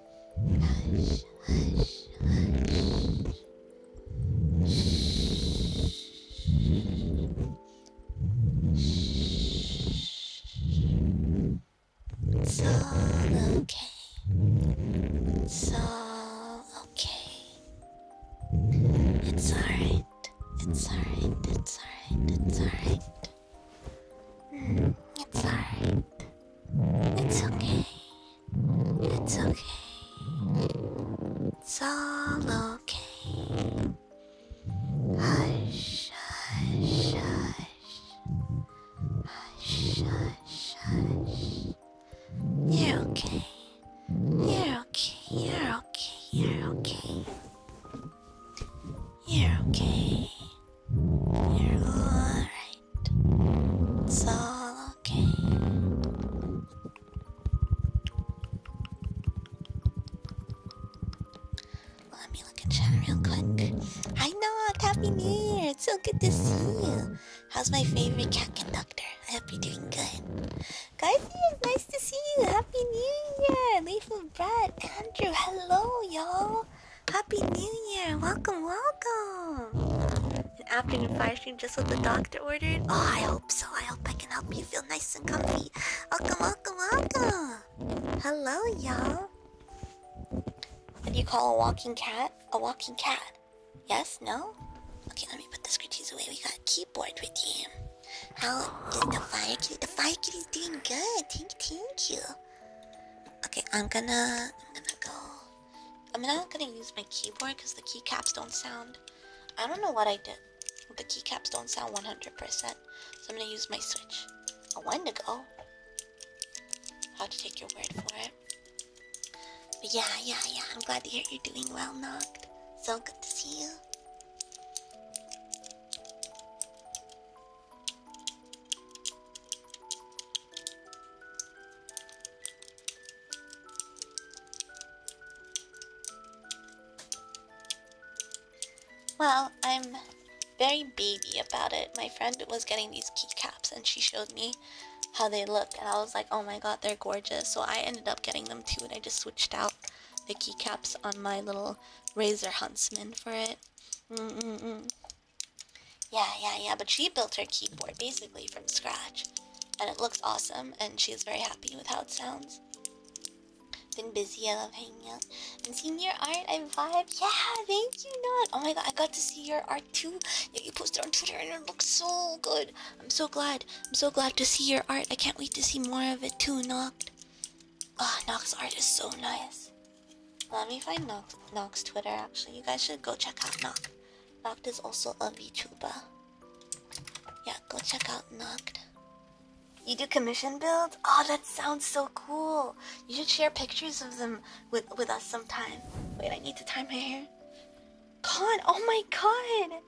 Hush, hush, hush. It's all okay. It's all okay. It's alright. It's alright. Mm, it's alright. It's alright. It's alright. It's okay. It's okay. It's all okay. Hush, hush, hush. Hush, hush, hush. You're okay. You're okay. You're okay. You're okay. You're okay. You're alright. It's all okay. Let me look at chat real quick. Hi, Nog! Happy New Year! It's so good to see you. How's my favorite cat conductor? I hope you're doing good. Guys, it's nice to see you. Happy New Year! Leaf of Andrew, hello, y'all. Happy New Year! Welcome, welcome! An afternoon fire stream just what the doctor ordered? Oh, I hope so. I hope I can help you feel nice and comfy. Welcome, welcome, welcome! Hello, y'all. What do you call a walking cat? A walking cat? Yes? No? Okay, let me put the scritchies away. We got a keyboard with you. How is the fire kitty? The fire kitty's doing good. Thank, thank you. Okay, I'm gonna, I'm gonna go. I'm not gonna use my keyboard because the keycaps don't sound. I don't know what I did. The keycaps don't sound 100%, so I'm gonna use my switch. A go. How to take your word for it. But yeah, yeah, yeah, I'm glad to hear you're doing well, knocked. So good to see you. Well, I'm very baby about it. My friend was getting these keycaps and she showed me how they look and I was like, oh my god, they're gorgeous. So I ended up getting them too and I just switched out the keycaps on my little Razor Huntsman for it. Mm, mm, mm. Yeah, yeah, yeah. But she built her keyboard basically from scratch, and it looks awesome. And she's very happy with how it sounds. Been busy. I love hanging out and seeing your art. I vibe. Yeah, thank you, Not. Oh my god, I got to see your art too. You posted on Twitter, and it looks so good. I'm so glad. I'm so glad to see your art. I can't wait to see more of it too, Not. Ah, oh, Nox art is so nice. Let me find Nox, Nox Twitter. Actually, you guys should go check out Nox. Noct is also a VTuber. Yeah, go check out Noct. You do commission builds? Oh, that sounds so cool. You should share pictures of them with with us sometime. Wait, I need to tie my hair. Con, oh my god!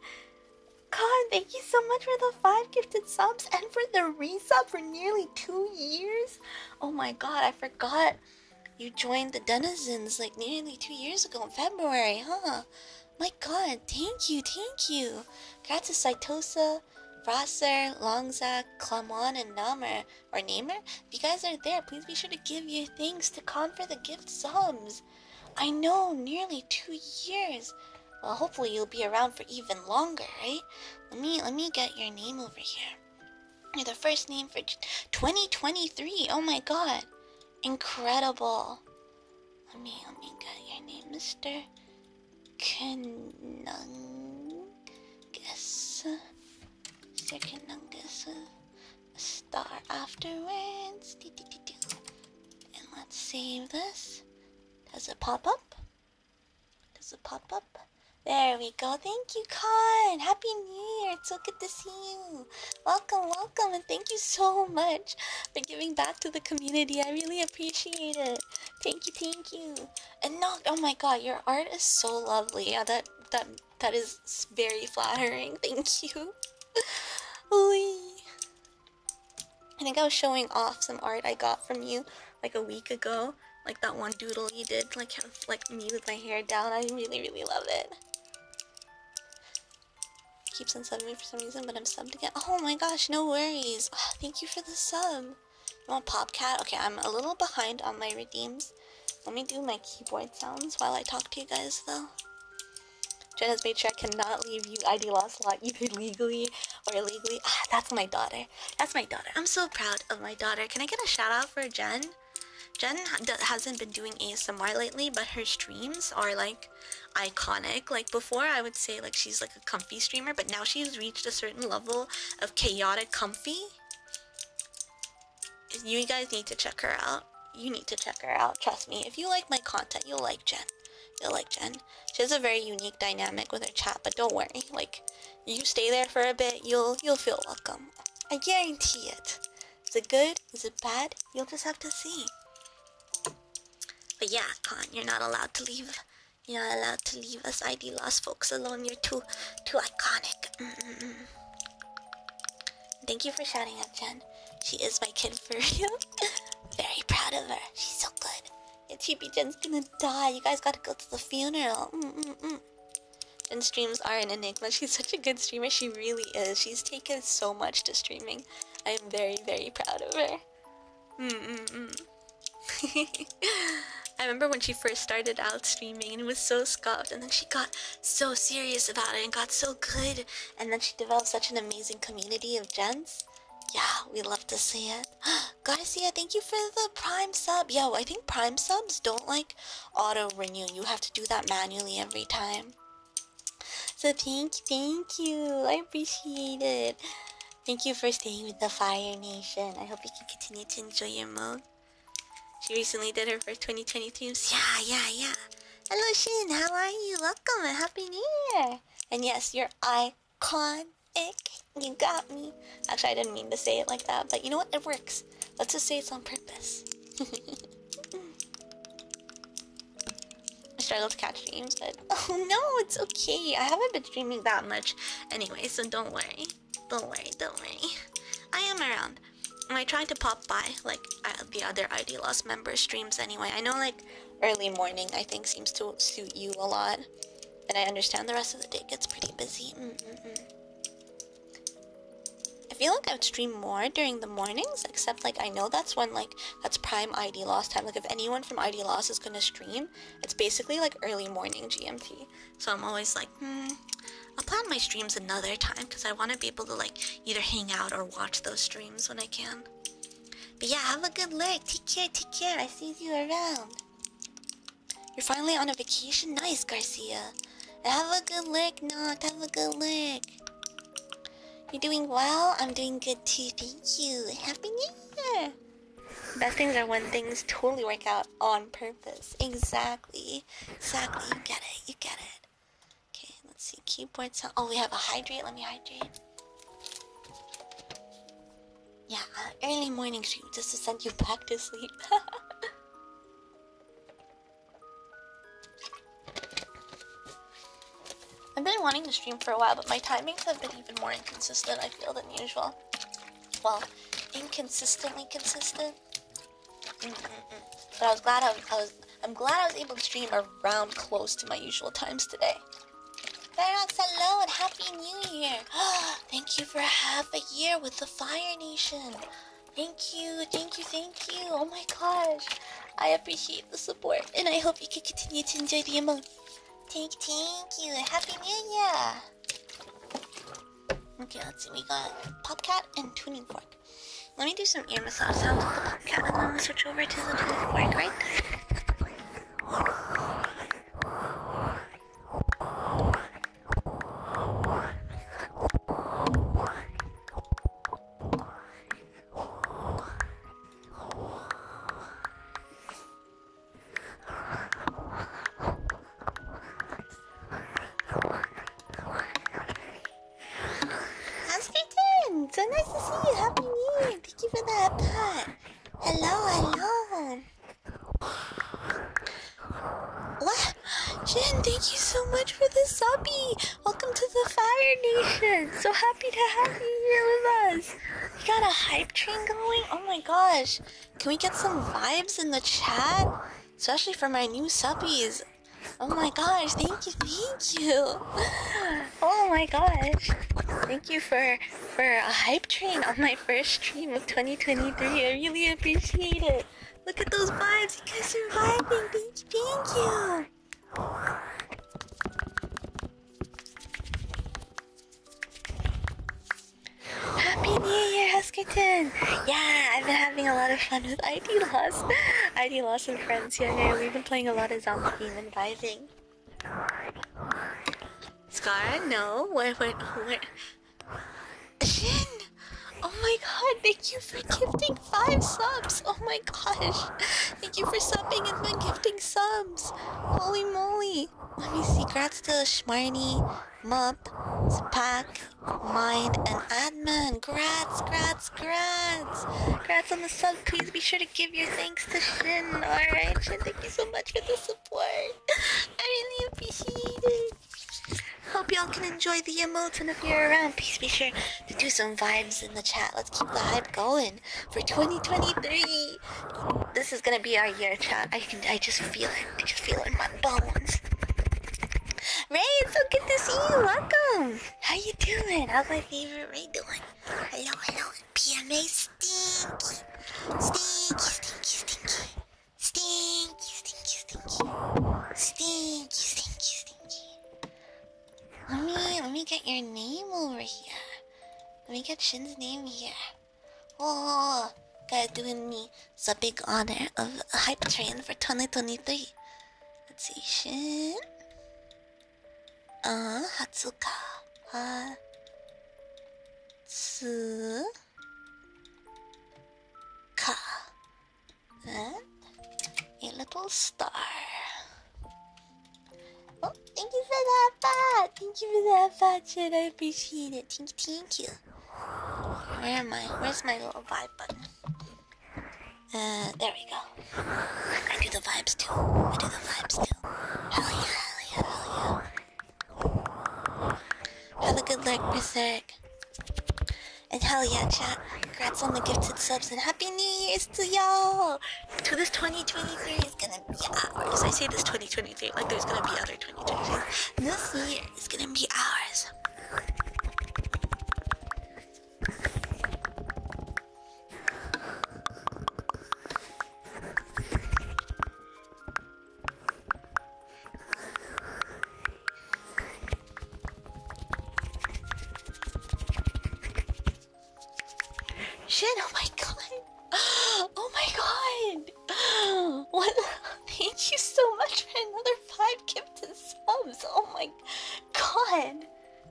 Con, thank you so much for the five gifted subs and for the resub for nearly two years. Oh my god, I forgot. You joined the denizens like nearly two years ago in February, huh? My god, thank you, thank you. Congrats to Saitosa, Rosser, Longzak, Clamon, and Namer, or Namer. If you guys are there, please be sure to give your things to Con for the gift subs. I know, nearly two years. Well, hopefully you'll be around for even longer, right? Let me let me get your name over here. You're the first name for 2023. Oh my god. Incredible. Let me let me get your name, Mr. Canungus. Mr. Canungus. A star afterwards. And let's save this. Does it pop up? Does it pop up? There we go. Thank you, Khan. Happy New Year. It's so good to see you. Welcome, welcome, and thank you so much for giving back to the community. I really appreciate it. Thank you, thank you. And oh my god, your art is so lovely. that that that is very flattering. Thank you. I think I was showing off some art I got from you like a week ago. Like that one doodle you did, like like me with my hair down. I really, really love it. Keeps on subbing me for some reason, but I'm subbed again. Oh my gosh, no worries. Ah, thank you for the sub. You want Popcat? Okay, I'm a little behind on my redeems. Let me do my keyboard sounds while I talk to you guys, though. Jenna's made sure I cannot leave you ID lost lot either legally or illegally. Ah, that's my daughter. That's my daughter. I'm so proud of my daughter. Can I get a shout out for Jen? Jen hasn't been doing ASMR lately, but her streams are like iconic. Like before, I would say like she's like a comfy streamer, but now she's reached a certain level of chaotic comfy. You guys need to check her out. You need to check her out. Trust me. If you like my content, you'll like Jen. You'll like Jen. She has a very unique dynamic with her chat, but don't worry. Like, you stay there for a bit, you'll you'll feel welcome. I guarantee it. It's a good is it bad? You'll just have to see. But yeah, Con, you're not allowed to leave. You're not allowed to leave us ID lost folks alone. You're too, too iconic. Mm-hmm. Thank you for shouting up, Jen. She is my kid for you. Very proud of her. She's so good. And Chibi Jen's gonna die. You guys gotta go to the funeral. And streams are an enigma. She's such a good streamer. She really is. She's taken so much to streaming. I'm very, very proud of her. Mm-mm-mm. I remember when she first started out streaming and was so scoffed, and then she got so serious about it and got so good and then she developed such an amazing community of gents. Yeah, we love to see it. Garcia, thank you for the prime sub. Yo, I think prime subs don't like auto renew. You have to do that manually every time. So thank you, thank you. I appreciate it. Thank you for staying with the Fire Nation. I hope you can continue to enjoy your mode. She recently did her first 2020 2023. Yeah, yeah, yeah. Hello, Shin. How are you? Welcome and happy new year. And yes, you're iconic. You got me. Actually, I didn't mean to say it like that, but you know what? It works. Let's just say it's on purpose. I struggle to catch dreams, but oh no, it's okay. I haven't been streaming that much anyway, so don't worry. Don't worry, don't worry. I am around. I try to pop by like uh, the other ID Lost member streams anyway. I know like early morning I think seems to suit you a lot, and I understand the rest of the day gets pretty busy. Mm, mm, mm. I feel like I would stream more during the mornings, except like I know that's when like that's prime ID loss time. Like if anyone from ID loss is gonna stream, it's basically like early morning GMT. So I'm always like, hmm, I'll plan my streams another time because I want to be able to like either hang out or watch those streams when I can. But yeah, have a good leg. Take care, take care. I see you around. You're finally on a vacation? Nice, Garcia. Have a good lick, not Have a good lick. You're doing well. I'm doing good too. Thank you. Happy New Year. Best things are when things totally work out on purpose. Exactly. Exactly. You get it. You get it. Okay, let's see. Keyboard sound. Oh, we have a hydrate. Let me hydrate. Yeah, early morning stream just to send you back to sleep. I've been wanting to stream for a while, but my timings have been even more inconsistent, I feel, than usual. Well, inconsistently consistent. But I was glad I, was. I'm glad I was able to stream around close to my usual times today. Barox, hello and happy new year! Thank you for half a year with the Fire Nation! Thank you, thank you, thank you. Oh my gosh. I appreciate the support and I hope you can continue to enjoy the amount. Thank, thank you. Happy New Year. Okay, let's see. We got Popcat and Tuning Fork. Let me do some ear massage sounds with the we switch over to the Tuning Fork, right? Housekeeping! So nice to see you! Happy New Year! Thank you for that pat! Hello, hello! What? Jen, thank you so much for the subby. Welcome to the Fire Nation. So happy to have you here with us. We got a hype train going. Oh my gosh. Can we get some vibes in the chat? Especially for my new subbies. Oh my gosh, thank you, thank you. Oh my gosh. Thank you for for a hype train on my first stream of 2023. I really appreciate it. Look at those vibes. You guys are vibing, bitch. Thank Happy New Year, Huskington. Yeah, I've been having a lot of fun with ID Loss. ID Loss and friends here know, We've been playing a lot of zombie game and vibing. no. What? What? Oh my god, thank you for gifting five subs! Oh my gosh! Thank you for subbing and then gifting subs! Holy moly! Let me see, grats to Schmarny, Mump, Spack, Mind, and Admin! Grats, grats, grats! Grats on the sub, please be sure to give your thanks to Shin, alright? Shin, thank you so much for the support! I really appreciate it! Hope y'all can enjoy the emotes, and if you're uh, around, please be sure to do some vibes in the chat. Let's keep the hype going for 2023. This is gonna be our year, chat. I can, I just feel it. I just feel it in my bones. Ray, it's so good to see you. Welcome. How you doing? How's my favorite Ray doing? Hello, hello. PMA stinky, stinky, stinky, stinky, stinky, stinky, stinky, stinky, stinky, stinky. Let me let me get your name over here. Let me get Shin's name here. Oh, God, doing me its a big honor of hype train for 2023. Let's see, Shin. Uh, Hatsuka. Hatsuka. Then a little star. Oh, thank you for that bot. Thank you for that bot, shit. I appreciate it. Thank you, thank you. Where am I? Where's my little vibe button? Uh, there we go. I do the vibes too. I do the vibes too. Hell yeah, hell yeah, hell yeah. Have a good leg, Berserk. And hell yeah, chat. Congrats on the gifted subs and happy new years to y'all! To this 2023 is gonna be ours. I say this 2023 like there's gonna be other 2023. This year is gonna be ours. Shin, oh my god. Oh my god. What? Thank you so much for another five gifted subs. Oh my god.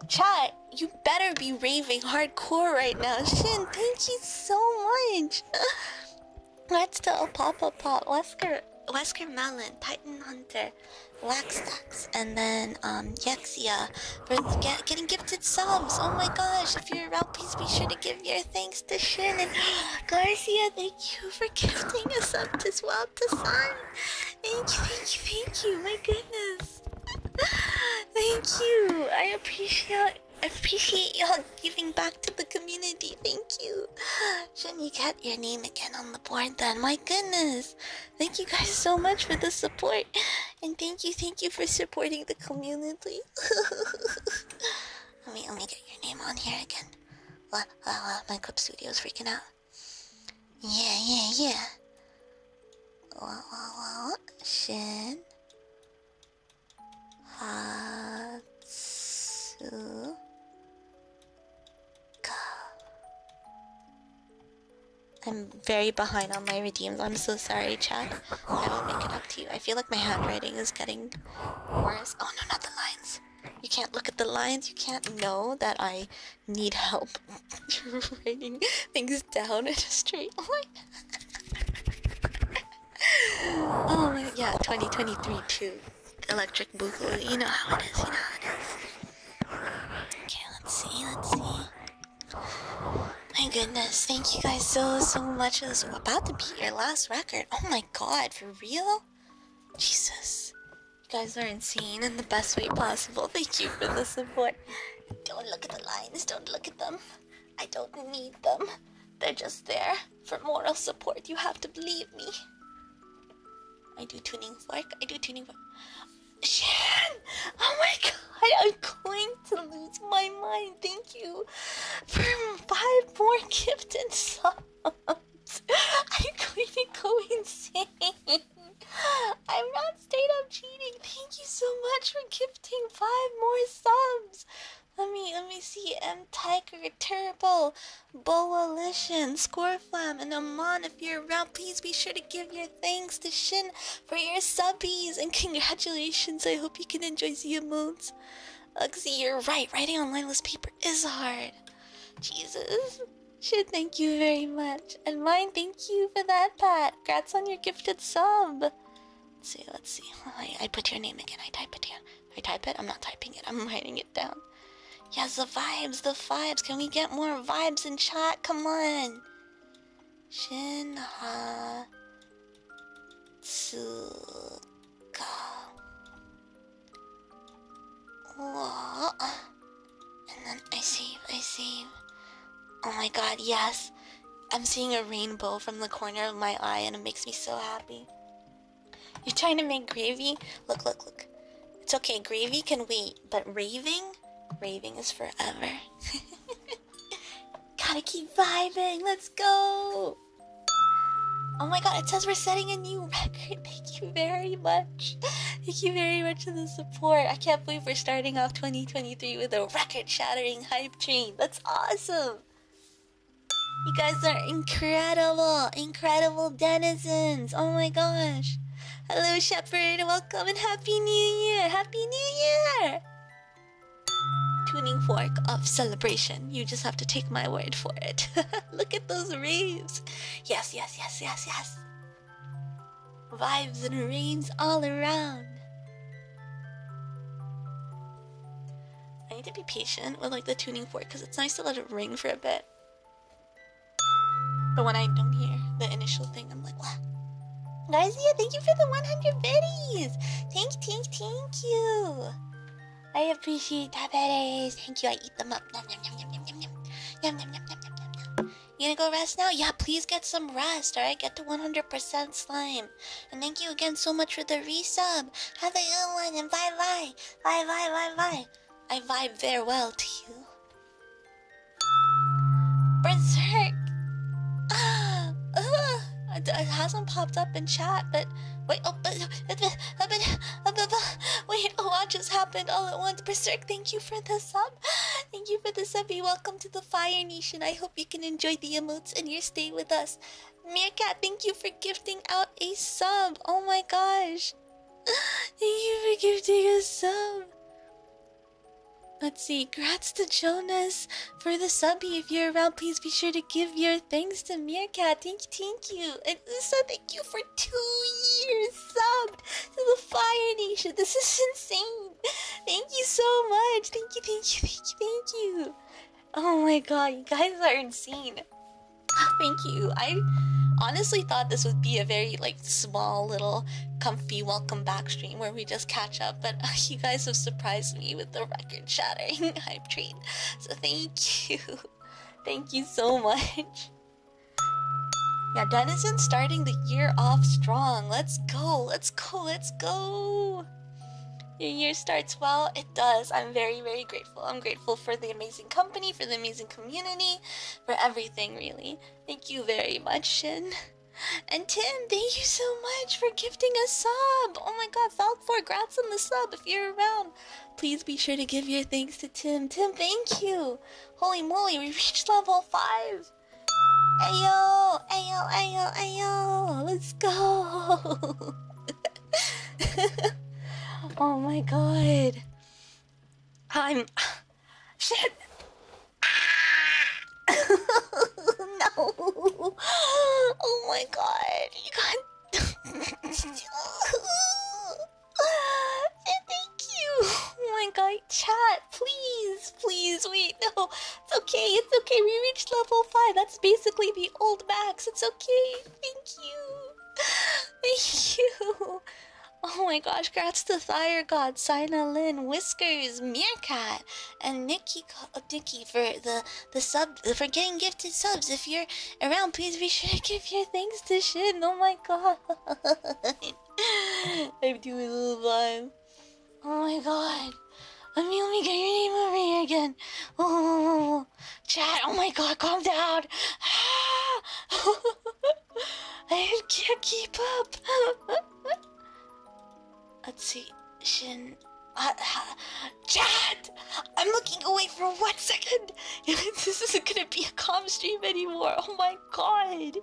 Chat, you better be raving hardcore right now. Shin, thank you so much. Let's do a pop-up pop. Wesker, Wesker Melon, Titan Hunter for Laxtax and then um, Yexia for getting gifted subs. Oh my gosh, if you're around, please be sure to give your thanks to Shannon Garcia. Thank you for gifting us up to Swap to Sun. Thank you, thank you, thank you. My goodness. thank you. I appreciate appreciate y'all giving back to the community. Thank you. should you get your name again on the board then? My goodness. Thank you guys so much for the support. And thank you, thank you for supporting the community. let me let me get your name on here again. Wow, wow, my clip is freaking out. Yeah, yeah, yeah. Wow, wow, wow. Shen Hatsu. I'm very behind on my redeems. I'm so sorry, Chad. I will make it up to you. I feel like my handwriting is getting worse. Oh no, not the lines. You can't look at the lines. You can't know that I need help You're writing things down in a straight line. oh my yeah, 2023 too. Electric. You know how it is, Okay, let's see, let's see. My goodness, thank you guys so, so much. This is about to be your last record. Oh my god, for real? Jesus. You guys are insane in the best way possible. Thank you for the support. Don't look at the lines, don't look at them. I don't need them. They're just there for moral support. You have to believe me. I do tuning fork. I do tuning fork. Shan! Oh my god, I'm going to lose my mind. Thank you for five more gifted subs. I'm going to go insane. I'm not straight up cheating. Thank you so much for gifting five more subs. Let me let me see M Tiger terrible, Turbo score flam, and a if you please be sure to give your thanks to Shin for your subbies and congratulations. I hope you can enjoy Zia Moons. Uxie, you're right. Writing on lineless paper is hard. Jesus. Shin, thank you very much. And mine, thank you for that, Pat. Grats on your gifted sub. Let's see, let's see. I put your name again. I type it down. I type it. I'm not typing it. I'm writing it down. Yes, the vibes, the vibes. Can we get more vibes in chat? Come on. Shinha Tsuka. Whoa. I save, I save. Oh my god, yes. I'm seeing a rainbow from the corner of my eye and it makes me so happy. You're trying to make gravy? Look, look, look. It's okay, gravy can wait but raving? Raving is forever. Gotta keep vibing. Let's go. Oh my god, it says we're setting a new record. Thank you very much. Thank you very much for the support. I can't believe we're starting off 2023 with a record shattering hype train. That's awesome. You guys are incredible, incredible denizens. Oh my gosh. Hello, Welcome and Happy New Year! Happy New Year! Tuning fork of celebration. You just have to take my word for it. Look at those raves. Yes, yes, yes, yes, yes. Vibes and rains all around. I need to be patient with like the tuning fork because it's nice to let it ring for a bit. But when I don't hear the initial thing, I'm like, wow. Guys, yeah, thank you for the 100 biddies. Thank, thank, thank you. I appreciate that biddies. Thank you. I eat them up. Nom, nom, You gonna go rest now? Yeah, please get some rest, alright? Get to 100% slime. And thank you again so much for the resub. Have a good one and bye bye. Bye bye bye bye. I vibe very well to you. Berserk! Uh, it hasn't popped up in chat, but wait, oh, but, but, but, but, wait, oh, a lot just happened all at once. Berserk, thank you for the sub. Thank you for the sub. you welcome to the Fire Nation. I hope you can enjoy the emotes and your stay with us. Meerkat, thank you for gifting out a sub. Oh my gosh. Thank you for gifting us sub. Let's see. Grats to Jonas for the subby. If you're around, please be sure to give your thanks to Meerkat. Thank you, thank you. And also thank you for two years subbed to the Fire Nation. This is insane. Thank you so much. Thank you, thank you, thank you, thank you. Oh my god, you guys are insane. Thank you. I honestly thought this would be a very like small little comfy welcome back stream where we just catch up. But uh, you guys have surprised me with the record shattering hype train. So thank you. Thank you so much. Yeah, Denison, starting the year off strong. Let's go, let's go, let's go. Your year starts well. It does. I'm very, very grateful. I'm grateful for the amazing company, for the amazing community, for everything, really. Thank you very much, Shin. And Tim, thank you so much for gifting a sub. Oh my god, Falcor, grats on the sub if you're around. Please be sure to give your thanks to Tim. Tim, thank you. Holy moly, we reached level 5. Ayo, ayo, ayo, ayo. Let's go. oh my god. I'm Shit! Ah! no! Oh my god! You got. Thank you! Oh my god, chat, please, please, wait, no, it's okay, it's okay, we reached level 5, that's basically the old max, it's okay, thank you, thank you. Oh my gosh, grats to Fire God, Sina Lin, Whiskers, Meerkat, and Nikki, uh, Nikki for the the sub for getting gifted subs. If you're around, please be sure to give your thanks to Shin. Oh my god, I'm doing a little blind. Oh my god, let me let me get your name over here again. Oh, chat. Oh my god, calm down. Ah! I can't keep up. Let's see. Shin. Uh, Chad! I'm looking away for one second! this isn't gonna be a calm stream anymore. Oh my god!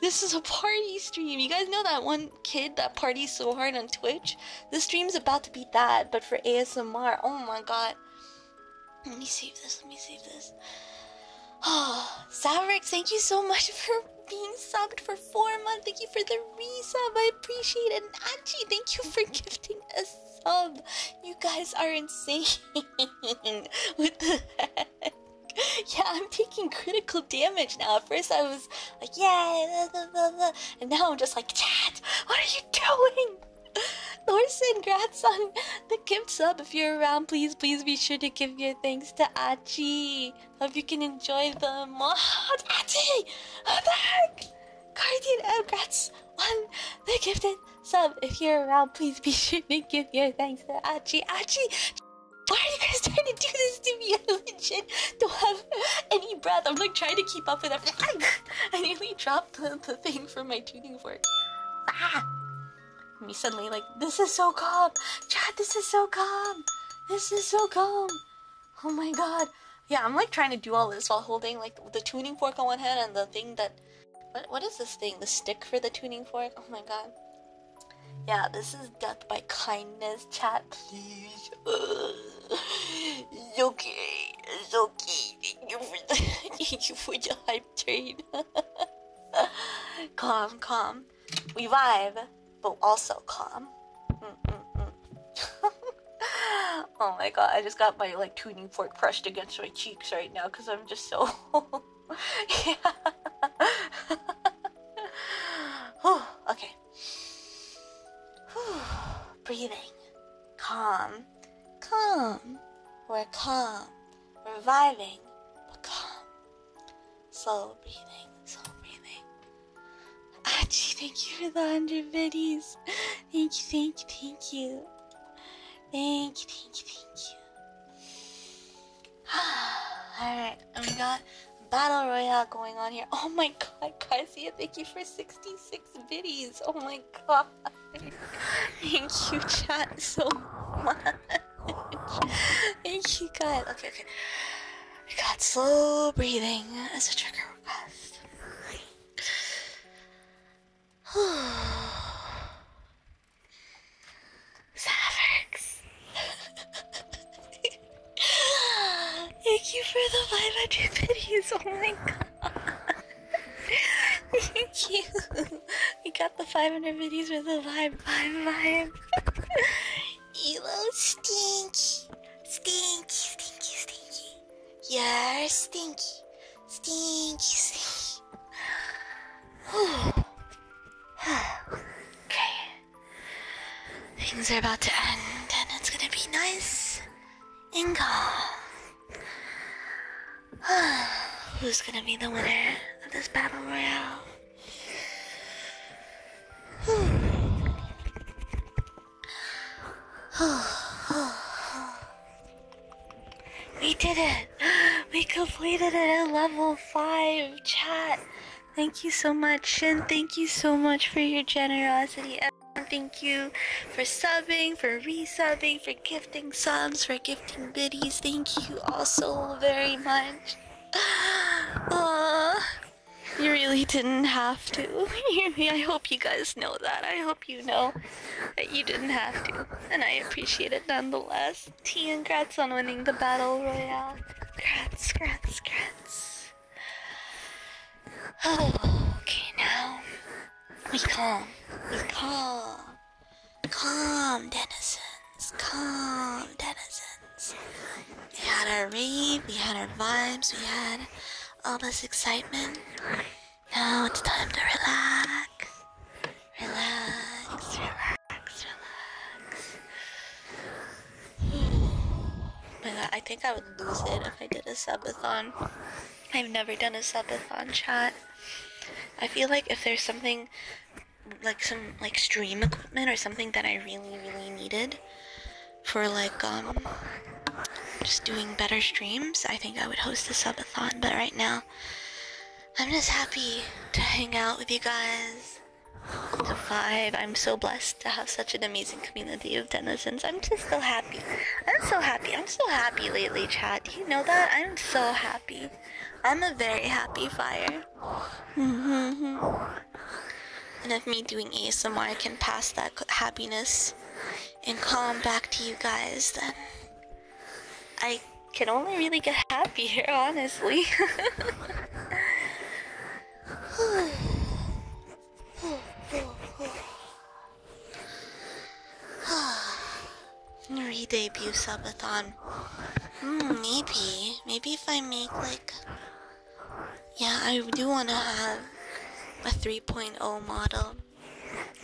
This is a party stream. You guys know that one kid that parties so hard on Twitch? This stream's about to be that, but for ASMR. Oh my god. Let me save this. Let me save this. Oh, ah, Zavrick, thank you so much for being subbed for four months. Thank you for the resub. I appreciate it. And Anchi, thank you for gifting a sub. You guys are insane. With the Yeah, I'm taking critical damage now. At first I was like, yeah, and now I'm just like, Chad, what are you doing? Thorson, grats Gift sub. If you're around, please, please be sure to give your thanks to Achi. Hope you can enjoy them. Oh, Achi! Oh, thank! Guardian Elgrats one. the gifted sub. If you're around, please be sure to give your thanks to Achi. Achi! Why are you guys trying to do this to me? I don't have any breath. I'm like trying to keep up with everything. I nearly dropped the, thing from my tuning fork. Ah! me suddenly like, this is so calm. Chad, this is so calm. This is so calm. Oh my god. Yeah, I'm like trying to do all this while holding like the tuning fork on one hand and the thing that what what is this thing? The stick for the tuning fork? Oh my god. Yeah, this is death by kindness, Chad. please. It's okay. It's okay. Thank you for the, you for the hype trade. calm, calm. We vibe, but also calm. oh my god, I just got my like tuning fork crushed against my cheeks right now because I'm just so. yeah. okay. Breathing. Calm. Calm. We're calm reviving, but calm. Slow breathing, slow breathing. Achi, thank you for the 100 biddies. Thank you, thank you, thank you. Thank you, thank you, thank you. Alright, we got Battle Royale going on here. Oh my god, Kazuya, thank you for 66 biddies. Oh my god. Thank you, chat, so much. Thank you, God. Okay, okay. I got slow breathing as a trigger request. Savix. Thank you for the 500 videos. Oh my god. Thank you we got the 500 videos with the vibe, vibe, vibe. Elo stinky, stinky, stinky, stinky. You're stinky, stinky, okay, things are about to end, and it's gonna be nice and Who's gonna be the winner of this battle royale? we did it! We completed it at level 5 chat. Thank you so much, Shin. Thank you so much for your generosity. Thank you for subbing, for resubbing, for gifting subs, for gifting biddies. Thank you all so very much. Uh, you really didn't have to. I hope you guys know that. I hope you know that you didn't have to. And I appreciate it nonetheless. T, congrats on winning the Battle Royale. Congrats, congrats, congrats. Oh, okay, now we calm. We calm. Calm, denizens, calm, denizens. We had our rave, we had our vibes, we had all this excitement. Now it's time to relax. Relax, relax, relax. Oh my god, I think I would lose it if I did a subathon. I've never done a subathon chat. I feel like if there's something like some like stream equipment or something that I really really needed for like um just doing better streams, I think I would host a subathon, but right now I'm just happy to hang out with you guys. To vibe. I'm so blessed to have such an amazing community of denizens. I'm just so happy. I'm so happy. I'm so happy lately, Chad. Do you know that? I'm so happy. I'm a very happy fire. and if me doing ASMR can pass that happiness and calm back to you guys, then I can only really get happier, honestly. Re-debut subathon. Hmm, maybe. Maybe if I make like... Yeah, I do want to have a 3.0 model.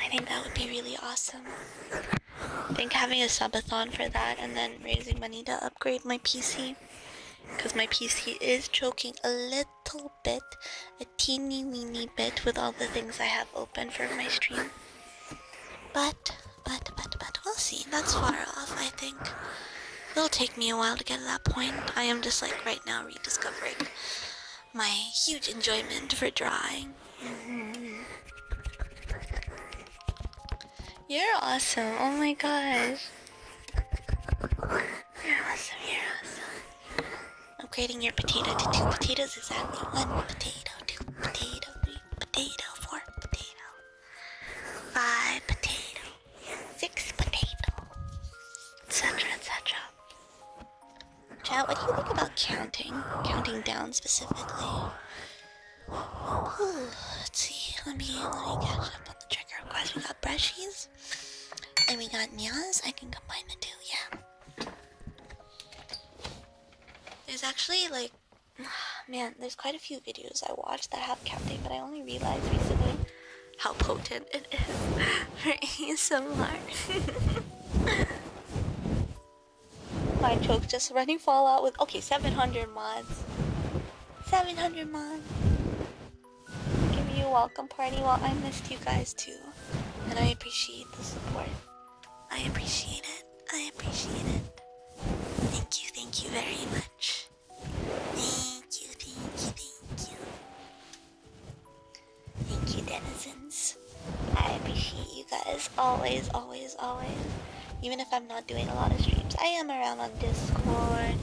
I think that would be really awesome. I think having a subathon for that and then raising money to upgrade my PC. Because my PC is choking a little bit, a teeny weeny bit with all the things I have open for my stream. But but, but, but, we'll see. That's far off, I think. It'll take me a while to get to that point. I am just like right now rediscovering my huge enjoyment for drawing. Mm-hmm. You're awesome. Oh my gosh. You're awesome. You're awesome. Upgrading your potato to two potatoes exactly. One potato, two potato, three potato, four potato five potato, six potato, etc. etc. Chat, what do you think about counting? Counting down specifically. let's see. Let me let me catch up on the trigger request. We got brushies, and we got nias. I can combine the two. Yeah. There's actually like Man, there's quite a few videos I watched that have counting, but I only realized recently how potent it is for ASMR. My choke just running Fallout with okay, 700 mods. 700 mods. Give you a welcome party while I missed you guys too. And I appreciate the support. I appreciate it. I appreciate it. Thank you, thank you very much. Thank you, thank you, thank you. Thank you, denizens. I appreciate you guys always, always, always. Even if I'm not doing a lot of streams, I am around on Discord.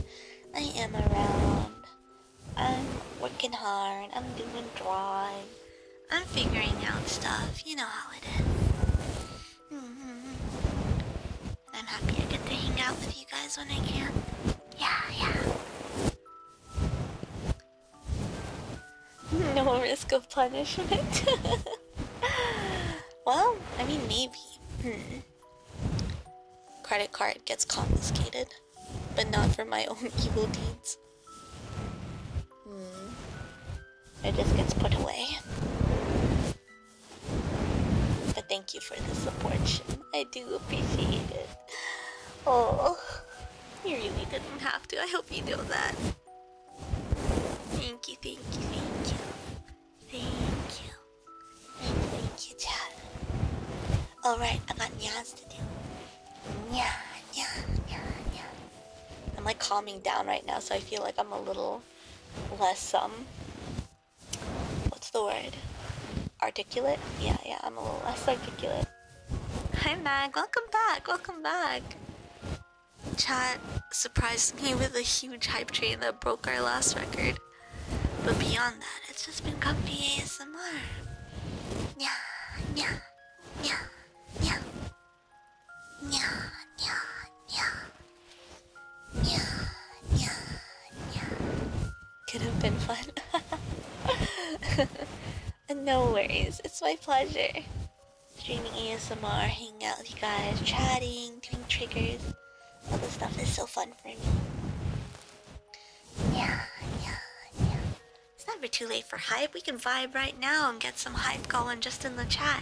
I am around. I'm working hard. I'm doing drawing. I'm figuring out stuff. You know how it is. Mm-hmm. I'm happy I get to hang out with you guys when I can. Yeah, yeah. No risk of punishment. well, I mean, maybe. Hmm. Credit card gets confiscated, but not for my own evil deeds. Hmm. It just gets put away. But thank you for the support, Shin. I do appreciate it. Oh, you really didn't have to. I hope you know that. Thank you, thank you, thank you. Thank you. Thank you, thank you, Chad. Alright, I got nyas to do. Nya, nya, nya, nya. I'm like calming down right now, so I feel like I'm a little less um what's the word? Articulate? Yeah, yeah, I'm a little less articulate. Hi Mag, welcome back, welcome back. Chat surprised me with a huge hype train that broke our last record. But beyond that, it's just been comfy ASMR. Yeah, yeah, yeah, yeah. Nya, nya, nya. Nya, nya, nya. Could have been fun. no worries, it's my pleasure. Streaming ASMR, hanging out with you guys, chatting, doing triggers. All this stuff is so fun for me. Yeah, yeah, yeah. It's never too late for hype. We can vibe right now and get some hype going just in the chat.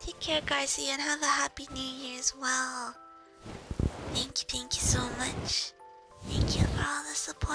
Take care, Garcia, and have a happy new year as well. Thank you, thank you so much. Thank you for all the support.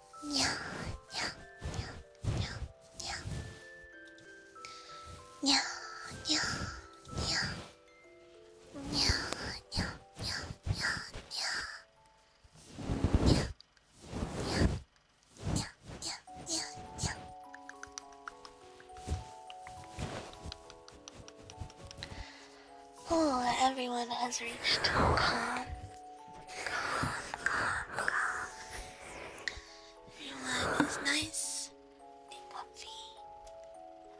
Yeah, yeah, yeah, yeah, yeah. Yeah, yeah, yeah. Yeah, yeah, yeah, yeah, yeah. Yeah, yeah, yeah, yeah, yeah, yeah. Oh, everyone has reached calm Calm, calm, calm. Everyone is nice and comfy.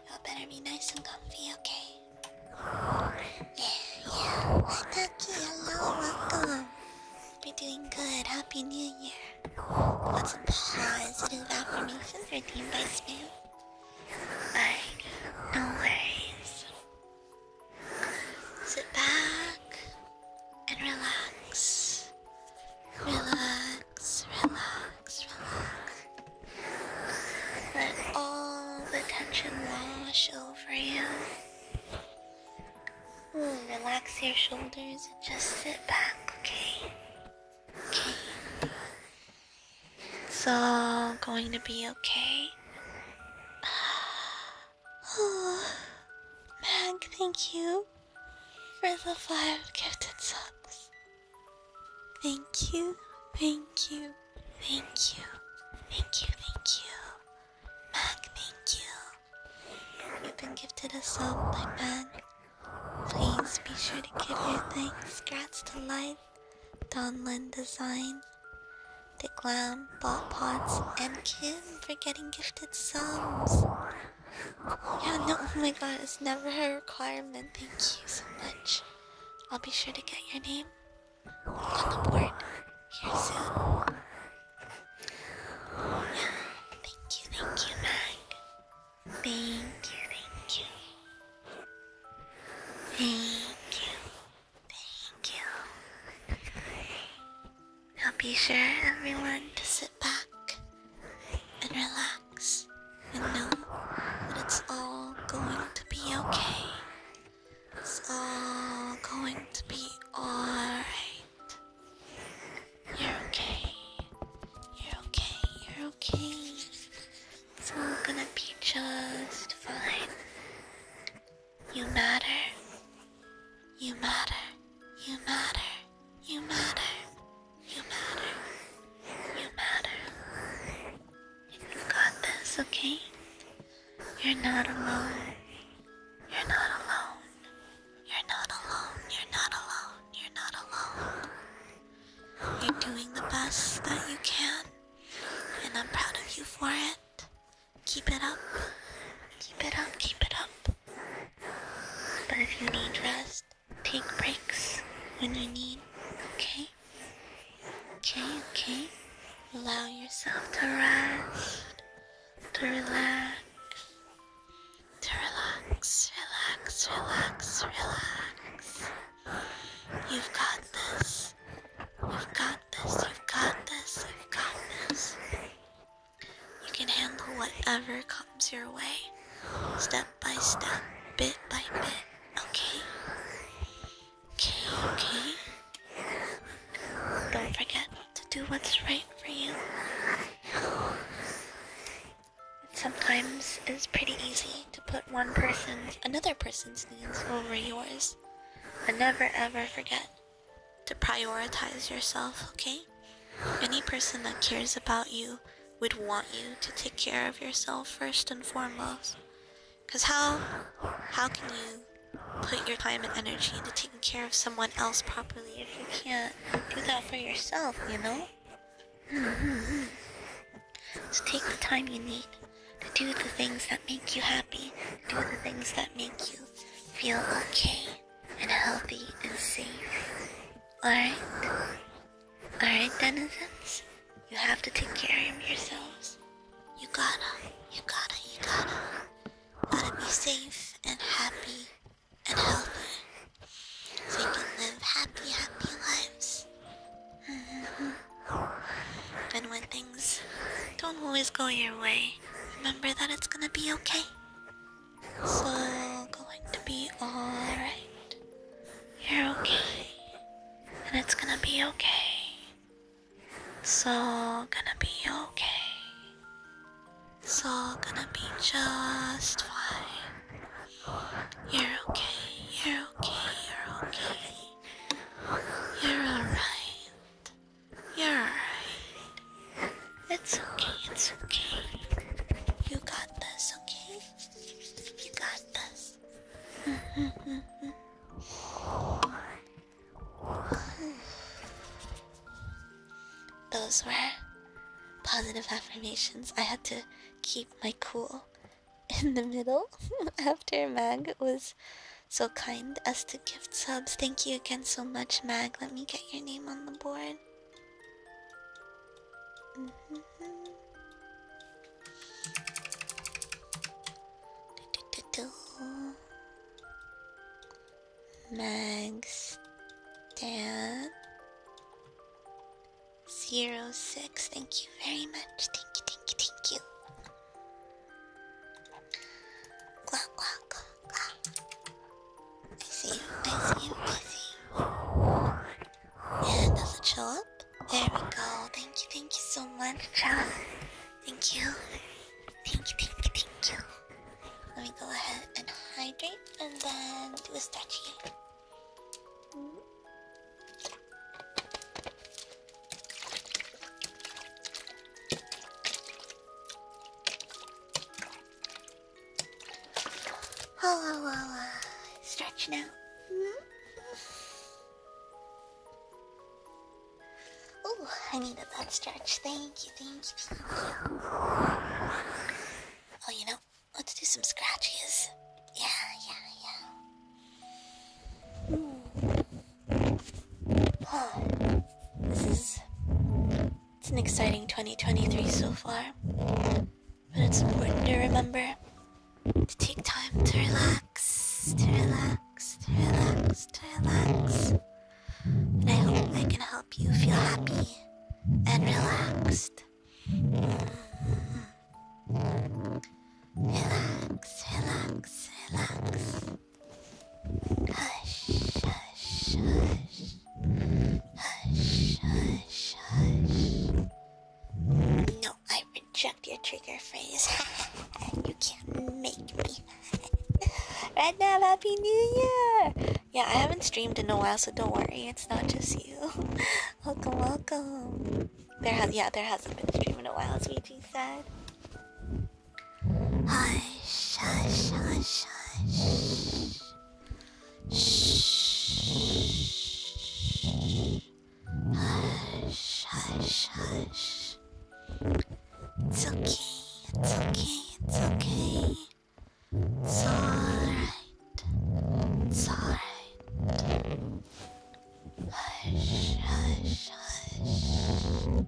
you better be nice and comfy, okay? Yeah, yeah. Hi, Ducky. Hello, welcome. you doing good. Happy New Year. Lots of positive affirmations redeemed by spam. Alright, no worries. Sit back and relax. Relax, relax, relax. Let all the tension wash over you. relax your shoulders and just sit back, okay? Okay. It's all going to be okay. Oh, Mag, thank you for the five gifted subs. Thank you, thank you, thank you, thank you, thank you. Mag, thank you. You've been gifted a sub by Mag. Please be sure to give your thanks. Grats to Life, Donlin Design, the Glam bought pots and Kim for getting gifted sums. Yeah, no, oh my god, it's never a requirement. Thank you so much. I'll be sure to get your name on the board here soon. Yeah, thank you, thank you, Mag. Thank you, thank you. Thank you. Thank you. Now be sure everyone to sit back and relax and know that it's all going to be okay. It's all going to be alright. You're okay. You're okay. You're okay. It's all gonna be just fine. You matter. You matter. You matter. You matter. You matter. You matter. you got this, okay? You're not alone. You're not alone. You're not alone. You're not alone. You're not alone. You're doing the best that you can, and I'm proud of you for it. Keep it up. Keep it up. Keep it up. But if you need rest, take breaks when you need, okay? Okay, okay. Allow yourself to rest, to relax, to relax, relax, relax, relax. You've got this. You've got this, you've got this, you've got this. You can handle whatever comes your way, step by step, bit by bit, okay? Okay, okay. Don't forget to do what's right for you. Sometimes it's pretty easy to put one person's, another person's needs over yours. but never ever forget to prioritize yourself, okay? Any person that cares about you would want you to take care of yourself first and foremost. Cause how how can you put your time and energy into taking care of someone else properly if you can't do that for yourself, you know? Mm-hmm. So take the time you need to do the things that make you happy, do the things that make you feel okay and healthy and safe. Alright? Alright, denizens? You have to take care of yourselves. You gotta, you gotta, you gotta. Gotta be safe and happy and healthy. So you can live happy, happy lives. And when things don't always go your way, Remember that it's gonna be okay. It's all going to be alright. You're okay. And it's gonna be okay. It's all gonna be okay. It's all gonna be just fine. You're okay. You're okay. You're okay. You're alright you alright. It's okay, it's okay. You got this, okay? You got this. Those were positive affirmations. I had to keep my cool in the middle after Mag was so kind as to gift subs. Thank you again so much, Mag. Let me get your name on the board. -hmm. do, do, do, Mags Dan Zero six, thank you very much. Thank you, thank you, thank you. Glock, glock. I see you, I see you, I see you. Yeah, does it show up? There we go. Thank you, thank you so much, John. Thank you. Thank you, thank you, thank you. Let me go ahead and hydrate and then do a stretchy. Mm -hmm. Oh, oh, oh, stretch now. Oh, mm-hmm. I need a butt stretch. Thank you, thank you, Oh, you know, let's do some scratches. Yeah, yeah, yeah this is it's an exciting 2023 so far. But it's important to remember to take time to relax, to relax, to relax, to relax. And I hope I can help you feel happy and relaxed. Relax, relax, relax. Hush, hush, hush. Hush, hush, hush. No, I reject your trigger phrase. you can't make me. right now, Happy New Year! Yeah, I haven't streamed in a while, so don't worry. It's not just you. welcome, welcome. There has yeah, there hasn't been a stream in a while, as we said. Hush, hush, hush, hush. Shh. Hush, hush, hush. It's okay, it's okay, it's okay. It's alright. It's alright. Hush, hush, hush.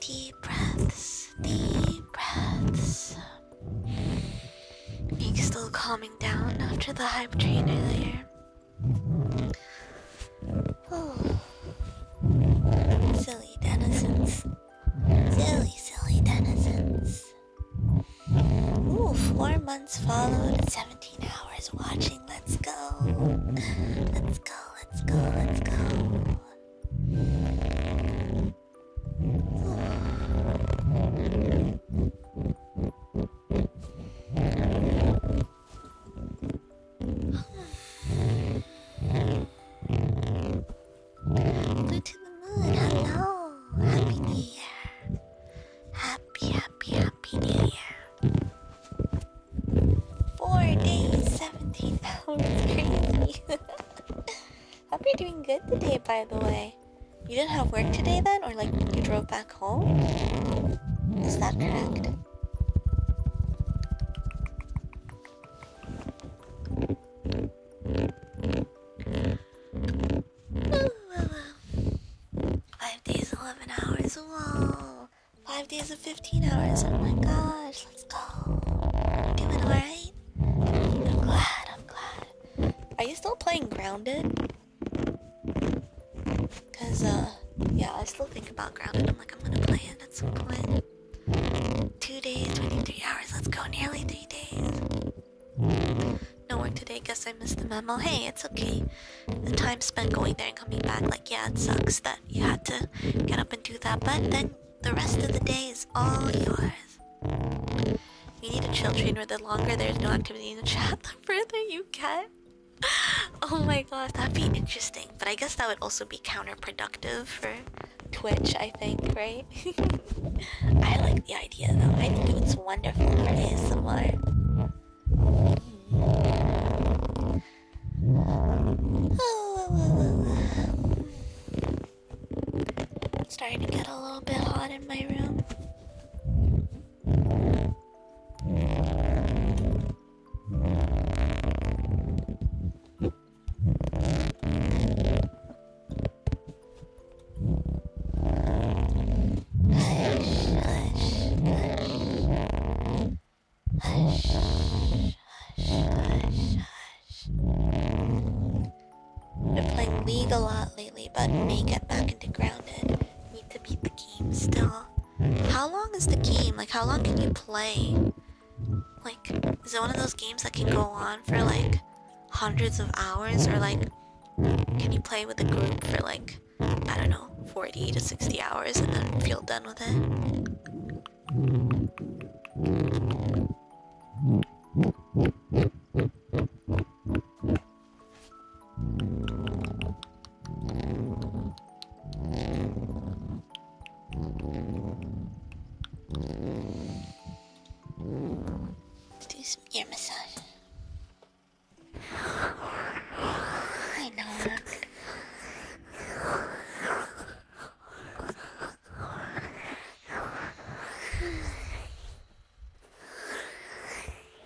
Deep breaths, deep breaths. Being still calming down after the hype train earlier. Oh. Silly denizens. Silly, silly denizens. Ooh, four months followed, 17 hours watching. Let's go. Let's go, let's go, let's go. Blue to the moon, hello! Happy New Year! Happy, happy, happy New Year! Four days, 17 hours, crazy! Hope you're doing good today, by the way. You didn't have work today then? Or like you drove back is that correct? Five days, 11 hours. Five days of 15 hours. Oh my gosh. Let's go. Doing alright? I'm glad. I'm glad. Are you still playing Grounded? Cause uh, yeah, I still think about Grounded. I'm like, I'm gonna play it at some point. Two days, 23 hours. Let's go. Nearly three days. No work today. Guess I missed the memo. Hey, it's okay. The time spent going there and coming back, like, yeah, it sucks that you had to get up and do that. But then the rest of the day is all yours. You need a chill train where the longer there's no activity in the chat, the further you get oh my gosh, that'd be interesting. But I guess that would also be counterproductive for Twitch, I think, right? I like the idea though. I think it's wonderful for ASMR. Oh, starting to get a little bit hot in my room. We're playing League a lot lately, but may get back into grounded. Need to beat the game still. Hmm. How long is the game? Like, how long can you play? Like, is it one of those games that can go on for like hundreds of hours? Or like, can you play with a group for like, I don't know, 40 to 60 hours and then feel done with it? Let's do some ear massage. I know, look.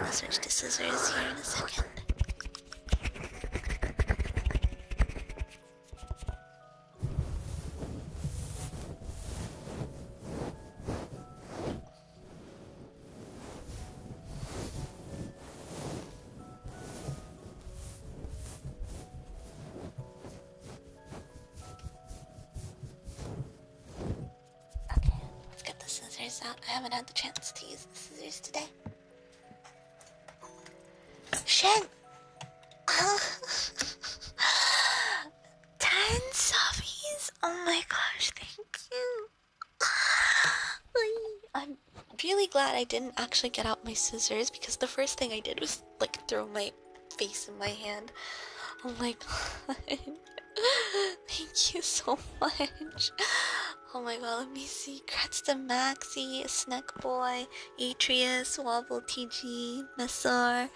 I'll switch to scissors here in a second. Okay, let's get the scissors out. I haven't had the chance to use scissors today. Shen, oh, ten subbies. Oh my gosh, thank you. I'm really glad I didn't actually get out my scissors because the first thing I did was like throw my face in my hand. Oh my god. Thank you so much. Oh my god, let me see. Grats to Maxi, Snack Boy, Atreus, Wobble TG, Messor,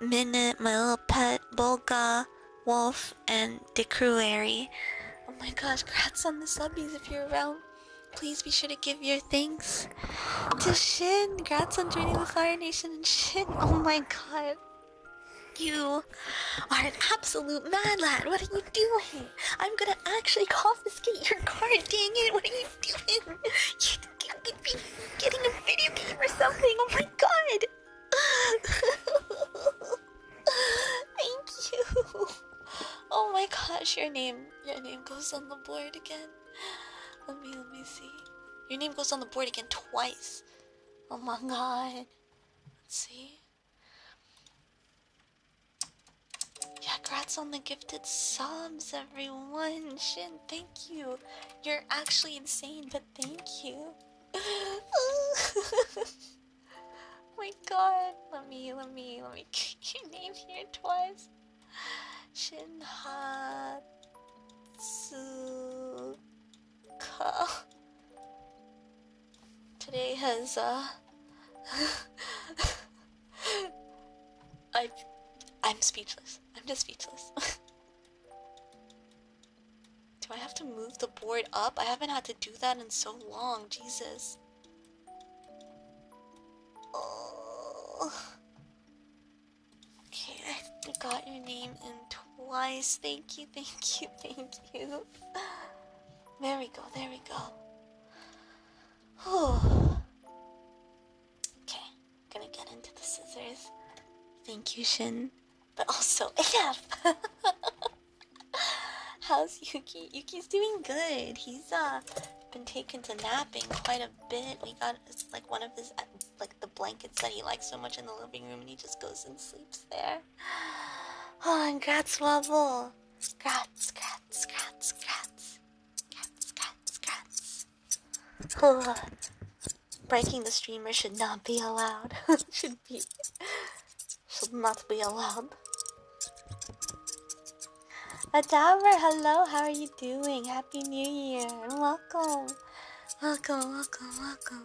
Minute, My Little Pet, Bolga, Wolf, and Decruary. Oh my gosh, grats on the subbies if you're around. Please be sure to give your thanks to Shin. Grats on joining the Fire Nation and Shin. Oh my god. You are an absolute mad lad. What are you doing? I'm gonna actually confiscate your car. Dang it, what are you doing? You could be getting a video game or something. Oh my god. Thank you. Oh my gosh, your name. Your name goes on the board again. Let me let me see. Your name goes on the board again twice. Oh my god. Let's see. Yeah, grats on the gifted subs, everyone. Shin, thank you. You're actually insane, but thank you. Oh my god. Let me, let me, let me get your name here twice. Shinhatsuka today has uh I I'm speechless. I'm just speechless. do I have to move the board up? I haven't had to do that in so long, Jesus. Oh. Okay, I got your name in twice. Thank you, thank you, thank you. There we go, there we go. Whew. Okay, gonna get into the scissors. Thank you, Shin. But also, AF! How's Yuki? Yuki's doing good. He's uh been taken to napping quite a bit. We got it's like one of his uh, like the blankets that he likes so much in the living room, and he just goes and sleeps there. Oh, and Gratz Wobble. Gratz, Gratz, Gratz, Gratz. Gratz, Gratz, Gratz. Oh, breaking the streamer should not be allowed. should be. Should not be allowed. Adaver, hello, how are you doing? Happy New Year and welcome. Welcome, welcome, welcome.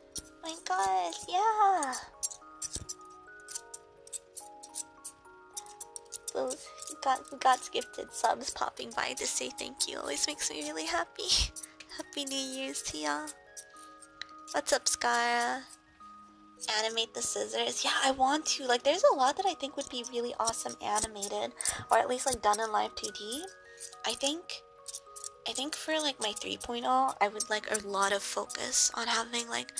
My god, yeah. Those got God's gifted subs popping by to say thank you always makes me really happy. happy New Year's to y'all. What's up, Scara? Animate the scissors. Yeah, I want to. Like, there's a lot that I think would be really awesome animated, or at least like done in live 2D. I think I think for like my 3.0, I would like a lot of focus on having like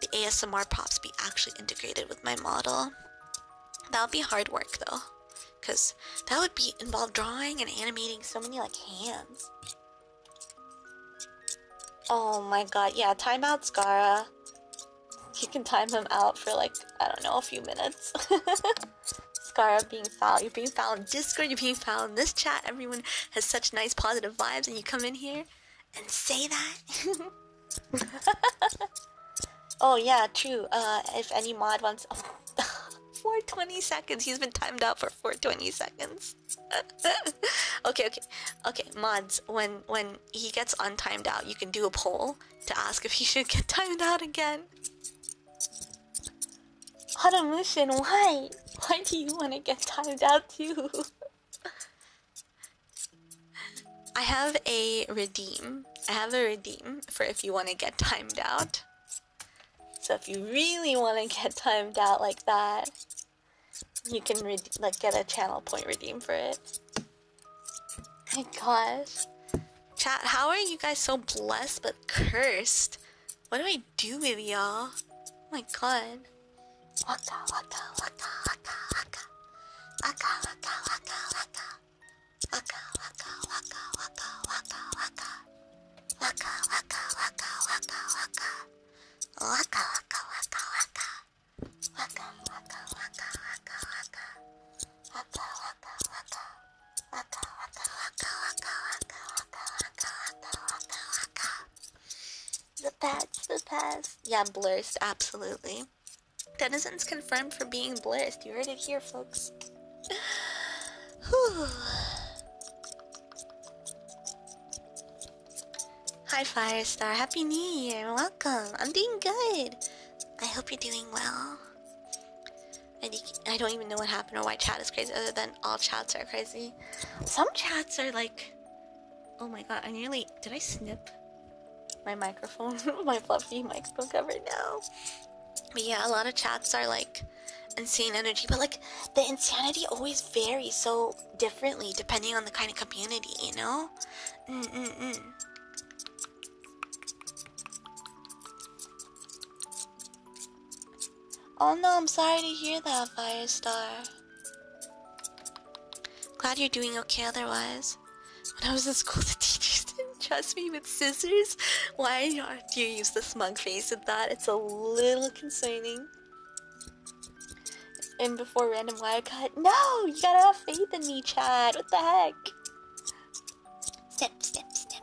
the ASMR props be actually integrated with my model. That would be hard work though, because that would be involve drawing and animating so many like hands. Oh my god, yeah, time out You can time him out for like, I don't know, a few minutes. Skara being found. you're being found. in Discord, you're being found. this chat, everyone has such nice positive vibes, and you come in here and say that. oh yeah, true. Uh, if any mod wants, oh, 420 seconds. He's been timed out for 420 seconds. okay, okay, okay. Mods, when when he gets untimed out, you can do a poll to ask if he should get timed out again. Haramushin, why? Why do you want to get timed out too? I have a redeem. I have a redeem for if you want to get timed out. So if you really want to get timed out like that, you can like get a channel point redeem for it. My gosh. Chat, how are you guys so blessed but cursed? What do I I do, baby y'all. Oh my god. Waka waka waka waka waka. Waka waka waka waka. Waka waka waka waka waka waka. Waka waka waka waka waka. Waka waka waka waka. Waka waka waka waka waka. Waka waka waka. Waka waka waka waka waka. The best, the best. Yeah, blurst, absolutely. Denizens confirmed for being blurst. You heard it here, folks. Whew. Hi, Firestar. Happy New Year. Welcome. I'm doing good. I hope you're doing well. I, I don't even know what happened or why chat is crazy, other than all chats are crazy. Some chats are like, oh my god, I nearly did I snip my microphone, my fluffy microphone cover now. But yeah, a lot of chats are like insane energy, but like the insanity always varies so differently depending on the kind of community, you know? Mm, mm, mm. Oh no, I'm sorry to hear that, Firestar. Glad you're doing okay otherwise. When I was in school, the teachers didn't trust me with scissors. Why do you use the smug face with that? It's a little concerning. And before random wire cut, no! You gotta have faith in me, Chad. What the heck? Step, step, step.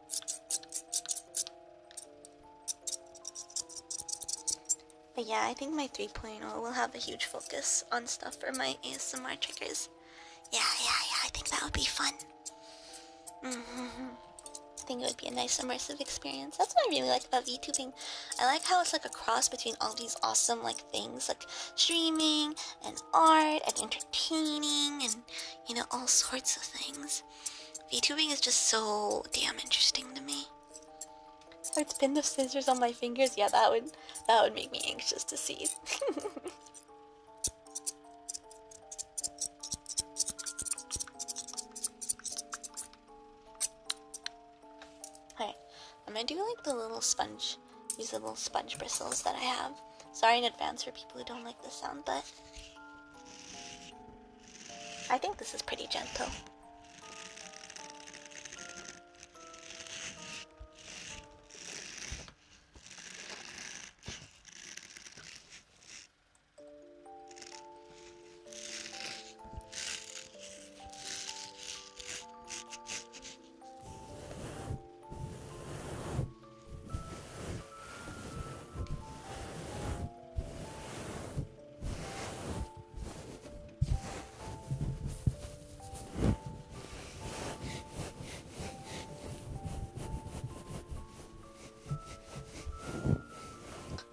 But yeah, I think my 3.0 will have a huge focus on stuff for my ASMR triggers. Yeah, yeah, yeah, I think that would be fun. I mm-hmm. think it would be a nice immersive experience. That's what I really like about VTubing. I like how it's like a cross between all these awesome like things like streaming and art and entertaining and you know all sorts of things because VTubing is just so damn interesting to me. I'd spin the scissors on my fingers. Yeah, that would that would make me anxious to see. Alright, I'm gonna do like the little sponge, these little sponge bristles that I have. Sorry in advance for people who don't like the sound, but I think this is pretty gentle.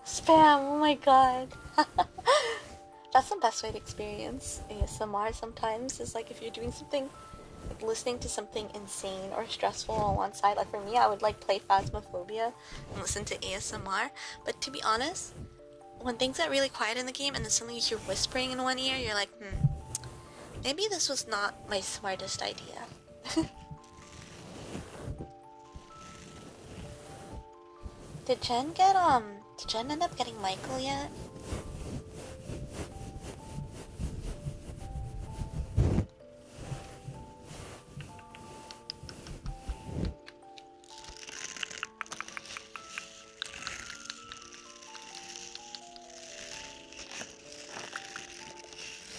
Spam, oh my god. That's the best way to experience ASMR sometimes, is like if you're doing something listening to something insane or stressful on one side. Like for me, I would like play Phasmophobia and listen to ASMR. But to be honest, when things get really quiet in the game and then suddenly you are whispering in one ear, you're like, hmm, maybe this was not my smartest idea. did Jen get, um, did Jen end up getting Michael yet?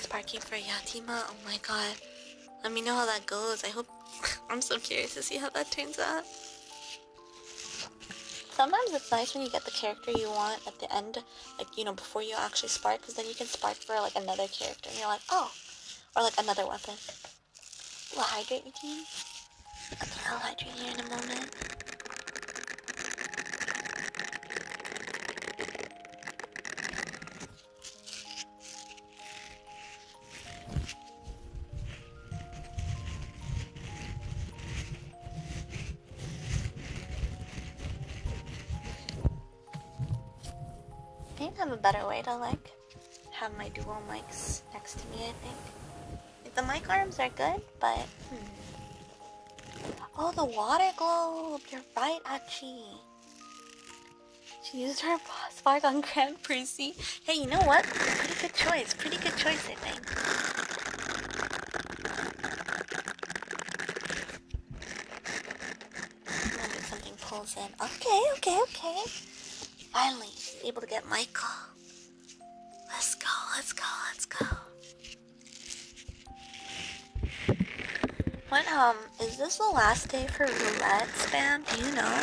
Parking for Yatima, oh my god. Let me know how that goes. I hope I'm so curious to see how that turns out. Sometimes it's nice when you get the character you want at the end, like, you know, before you actually spark, because then you can spark for, like, another character, and you're like, oh, or, like, another weapon. Will I hydrate with you? Okay, I'll hydrate you in a moment. I need to have a better way to like have my dual mics next to me. I think the mic arms are good, but hmm. oh, the water globe. You're right, Achi. She used her fight on Grand Prixie. Hey, you know what? Pretty good choice. Pretty good choice, I think something pulls in. Okay, okay, okay. Finally, able to get Michael. Let's go, let's go, let's go. What, um, is this the last day for roulette spam? Do you know?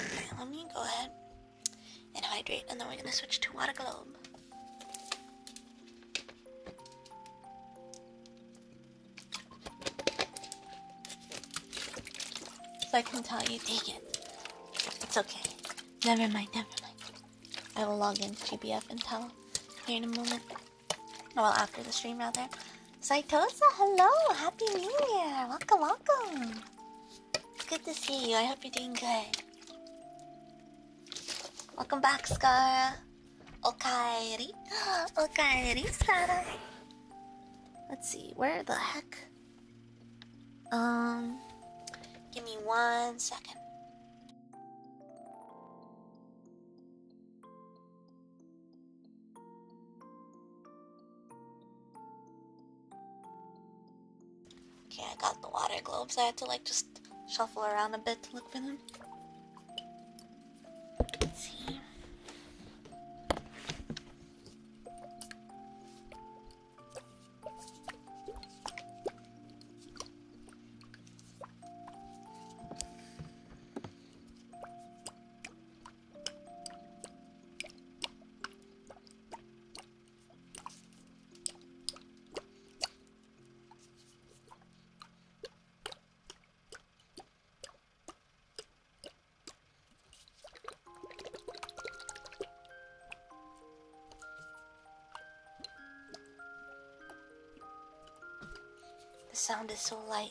Okay, let me go ahead and hydrate, and then we're gonna switch to water globe. So I can tell you, take it, it's okay. Never mind, never mind. I will log into GBF and tell here in a moment. Well, after the stream, rather. Saitosa, hello! Happy New Year! Welcome, welcome! It's Good to see you. I hope you're doing good. Welcome back, Scar. Okaeri. Okaeri, Scar. Let's see, where the heck? Um, give me one second. Okay, I got the water globes. I had to like just shuffle around a bit to look for them. see. The sound is so light.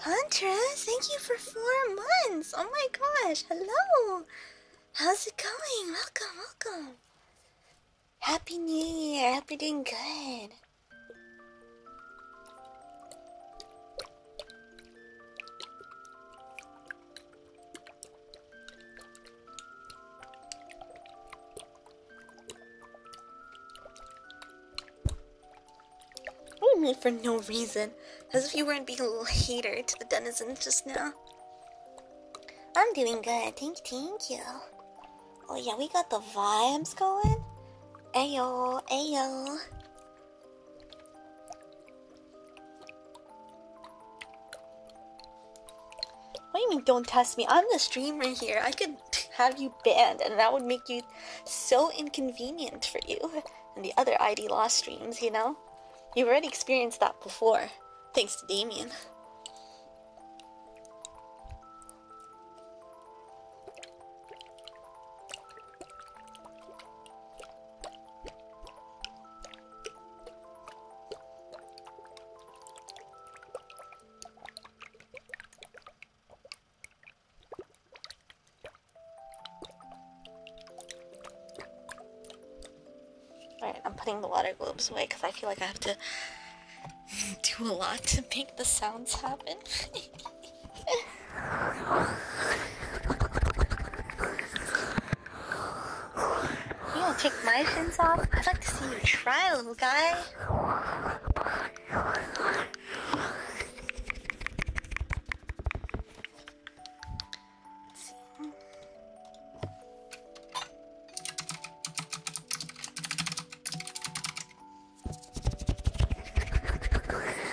Hunter, thank you for four months! Oh my gosh, hello! How's it going? Welcome, welcome! Happy New Year! Hope you're doing good! What do you mean for no reason? As if you weren't being a hater to the denizens just now. I'm doing good, thank, you, thank you. Oh yeah, we got the vibes going. Ayo, ayo. What do you mean don't test me? I'm the streamer here. I could have you banned, and that would make you so inconvenient for you and the other ID law streams, you know? You've already experienced that before, thanks to Damien. Alright, I'm putting the water globes away because I feel like I have to do a lot to make the sounds happen. you don't take my shins off? I'd like to see you try, little guy see.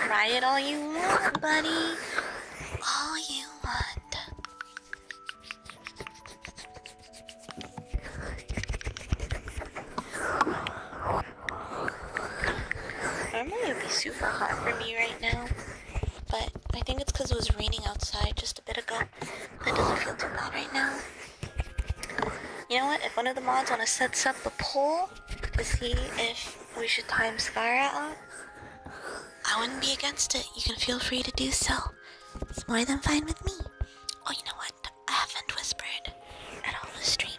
Try it all you want, buddy. All you want. Normally it would be super hot for me right now, but I think it's because it was raining outside just a bit ago. That doesn't feel too bad right now. You know what? If one of the mods want to set up a poll to see if we should time Skyra out, I wouldn't be against it. You can feel free to do so. It's more than fine with me. Oh, you know what? I haven't whispered at all this stream.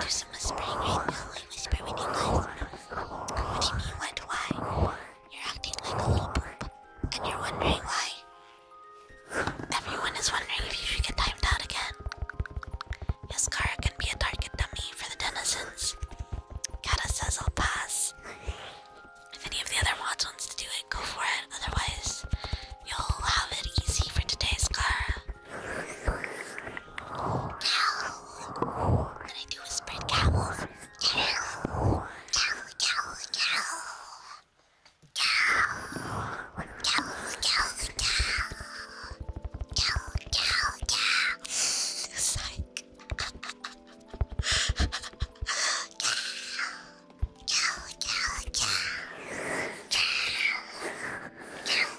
Do some whispering right now. I whisper What do you mean? Why? You're acting like a little poop, and you're wondering why. Everyone is wondering if you get timed out again. Yes, Kara can be a target dummy for the denizens. Kata says I'll pass. If any of the other mods wants to do it, go for it. Otherwise, you'll have it easy for today's Kara. Cow. What I do is spread camels. Cow. Cow, cow, cow. Cow. Cow, cow, cow. Cow, cow, cow. Psych. cow. Cow, cow, cow. Cow. Cow.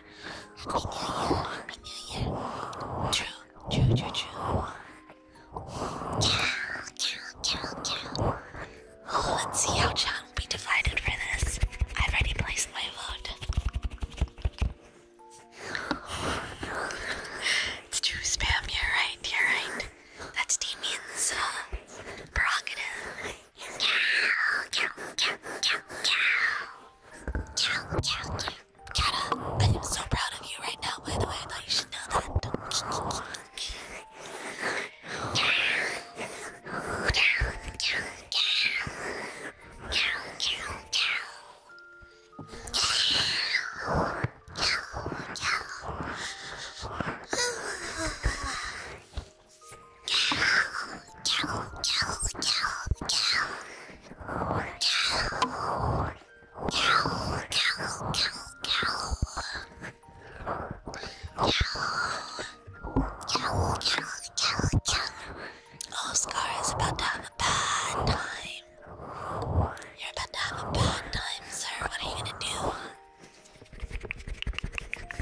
True, true, true, true. Let's see how John will be divided for this. I've already placed my vote. It's true spam, you're right, you're right. That's Damien's uh, prerogative. Cow, cow, cow, cow, cow. Cow, cow, cow. Kata, I am so proud of you right now, by the way. I thought you should know that. Cow, cow, cow, cow. Cow, cow, cow. Cow, cow, cow. Oscar is about to have a bad time. You're about to have a bad time, sir. What are you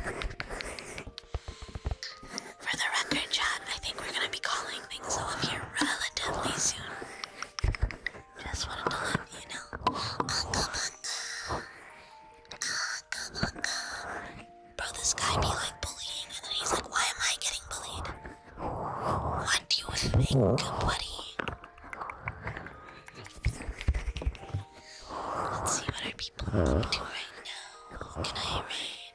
gonna do? For the record, John, I think we're gonna be calling things off here relatively soon. Just wanted to let you know. Bro, this guy be like bullying, and then he's like, why am I getting bullied? What do you think, buddy? Let's see what our people are up to right now. can I read?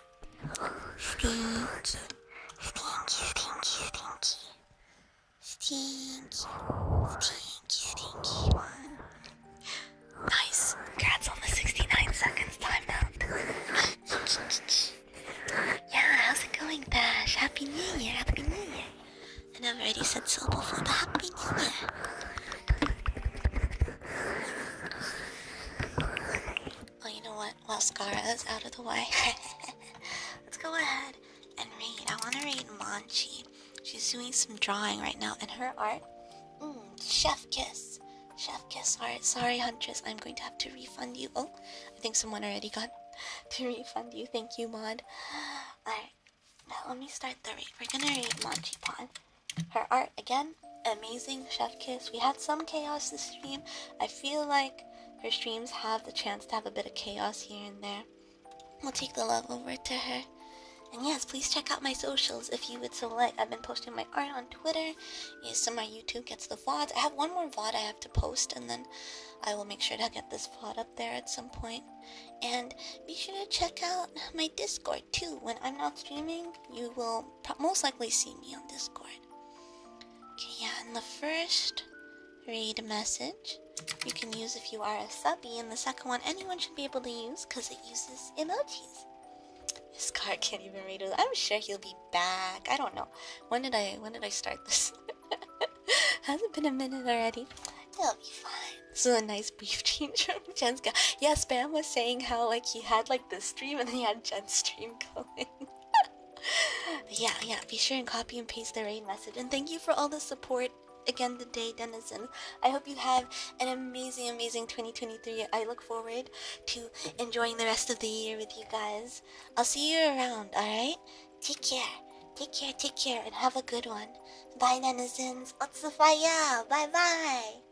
Stinky. Stinky, stinky, stinky. Stinky. Stinky, stinky Nice. Congrats on the 69 seconds time up. yeah, how's it going, Bash? Happy New Year, Happy New Year. And I've already said so before, but Happy New Year. Well, you know what? While Skara is out of the way, let's go ahead and read. I want to read Manchi. She's doing some drawing right now, in her art. Mm, chef kiss. Chef kiss art. Sorry, Huntress. I'm going to have to refund you. Oh, I think someone already got to refund you. Thank you, Mod. Alright, now let me start the read. We're gonna read Manchi Pod. Her art again, amazing Chef Kiss. We had some chaos this stream. I feel like her streams have the chance to have a bit of chaos here and there. We'll take the love over to her. And yes, please check out my socials if you would so like. I've been posting my art on Twitter. Yes, my YouTube gets the VODs. I have one more VOD I have to post, and then I will make sure to get this VOD up there at some point. And be sure to check out my Discord too. When I'm not streaming, you will most likely see me on Discord. Okay, yeah, in the first read message, you can use if you are a subby, and the second one anyone should be able to use because it uses emojis. This card can't even read it. I'm sure he'll be back. I don't know. When did I when did I start this? Hasn't been a minute already. It'll be fine. This is a nice brief change from Jenska. Yes, Bam was saying how like he had like the stream, and then he had Jen's stream going. yeah, yeah. Be sure and copy and paste the rain message. And thank you for all the support again the day Denizen. I hope you have an amazing, amazing 2023. I look forward to enjoying the rest of the year with you guys. I'll see you around. All right. Take care. Take care. Take care, and have a good one. Bye, Denizens. Otsu Bye, bye.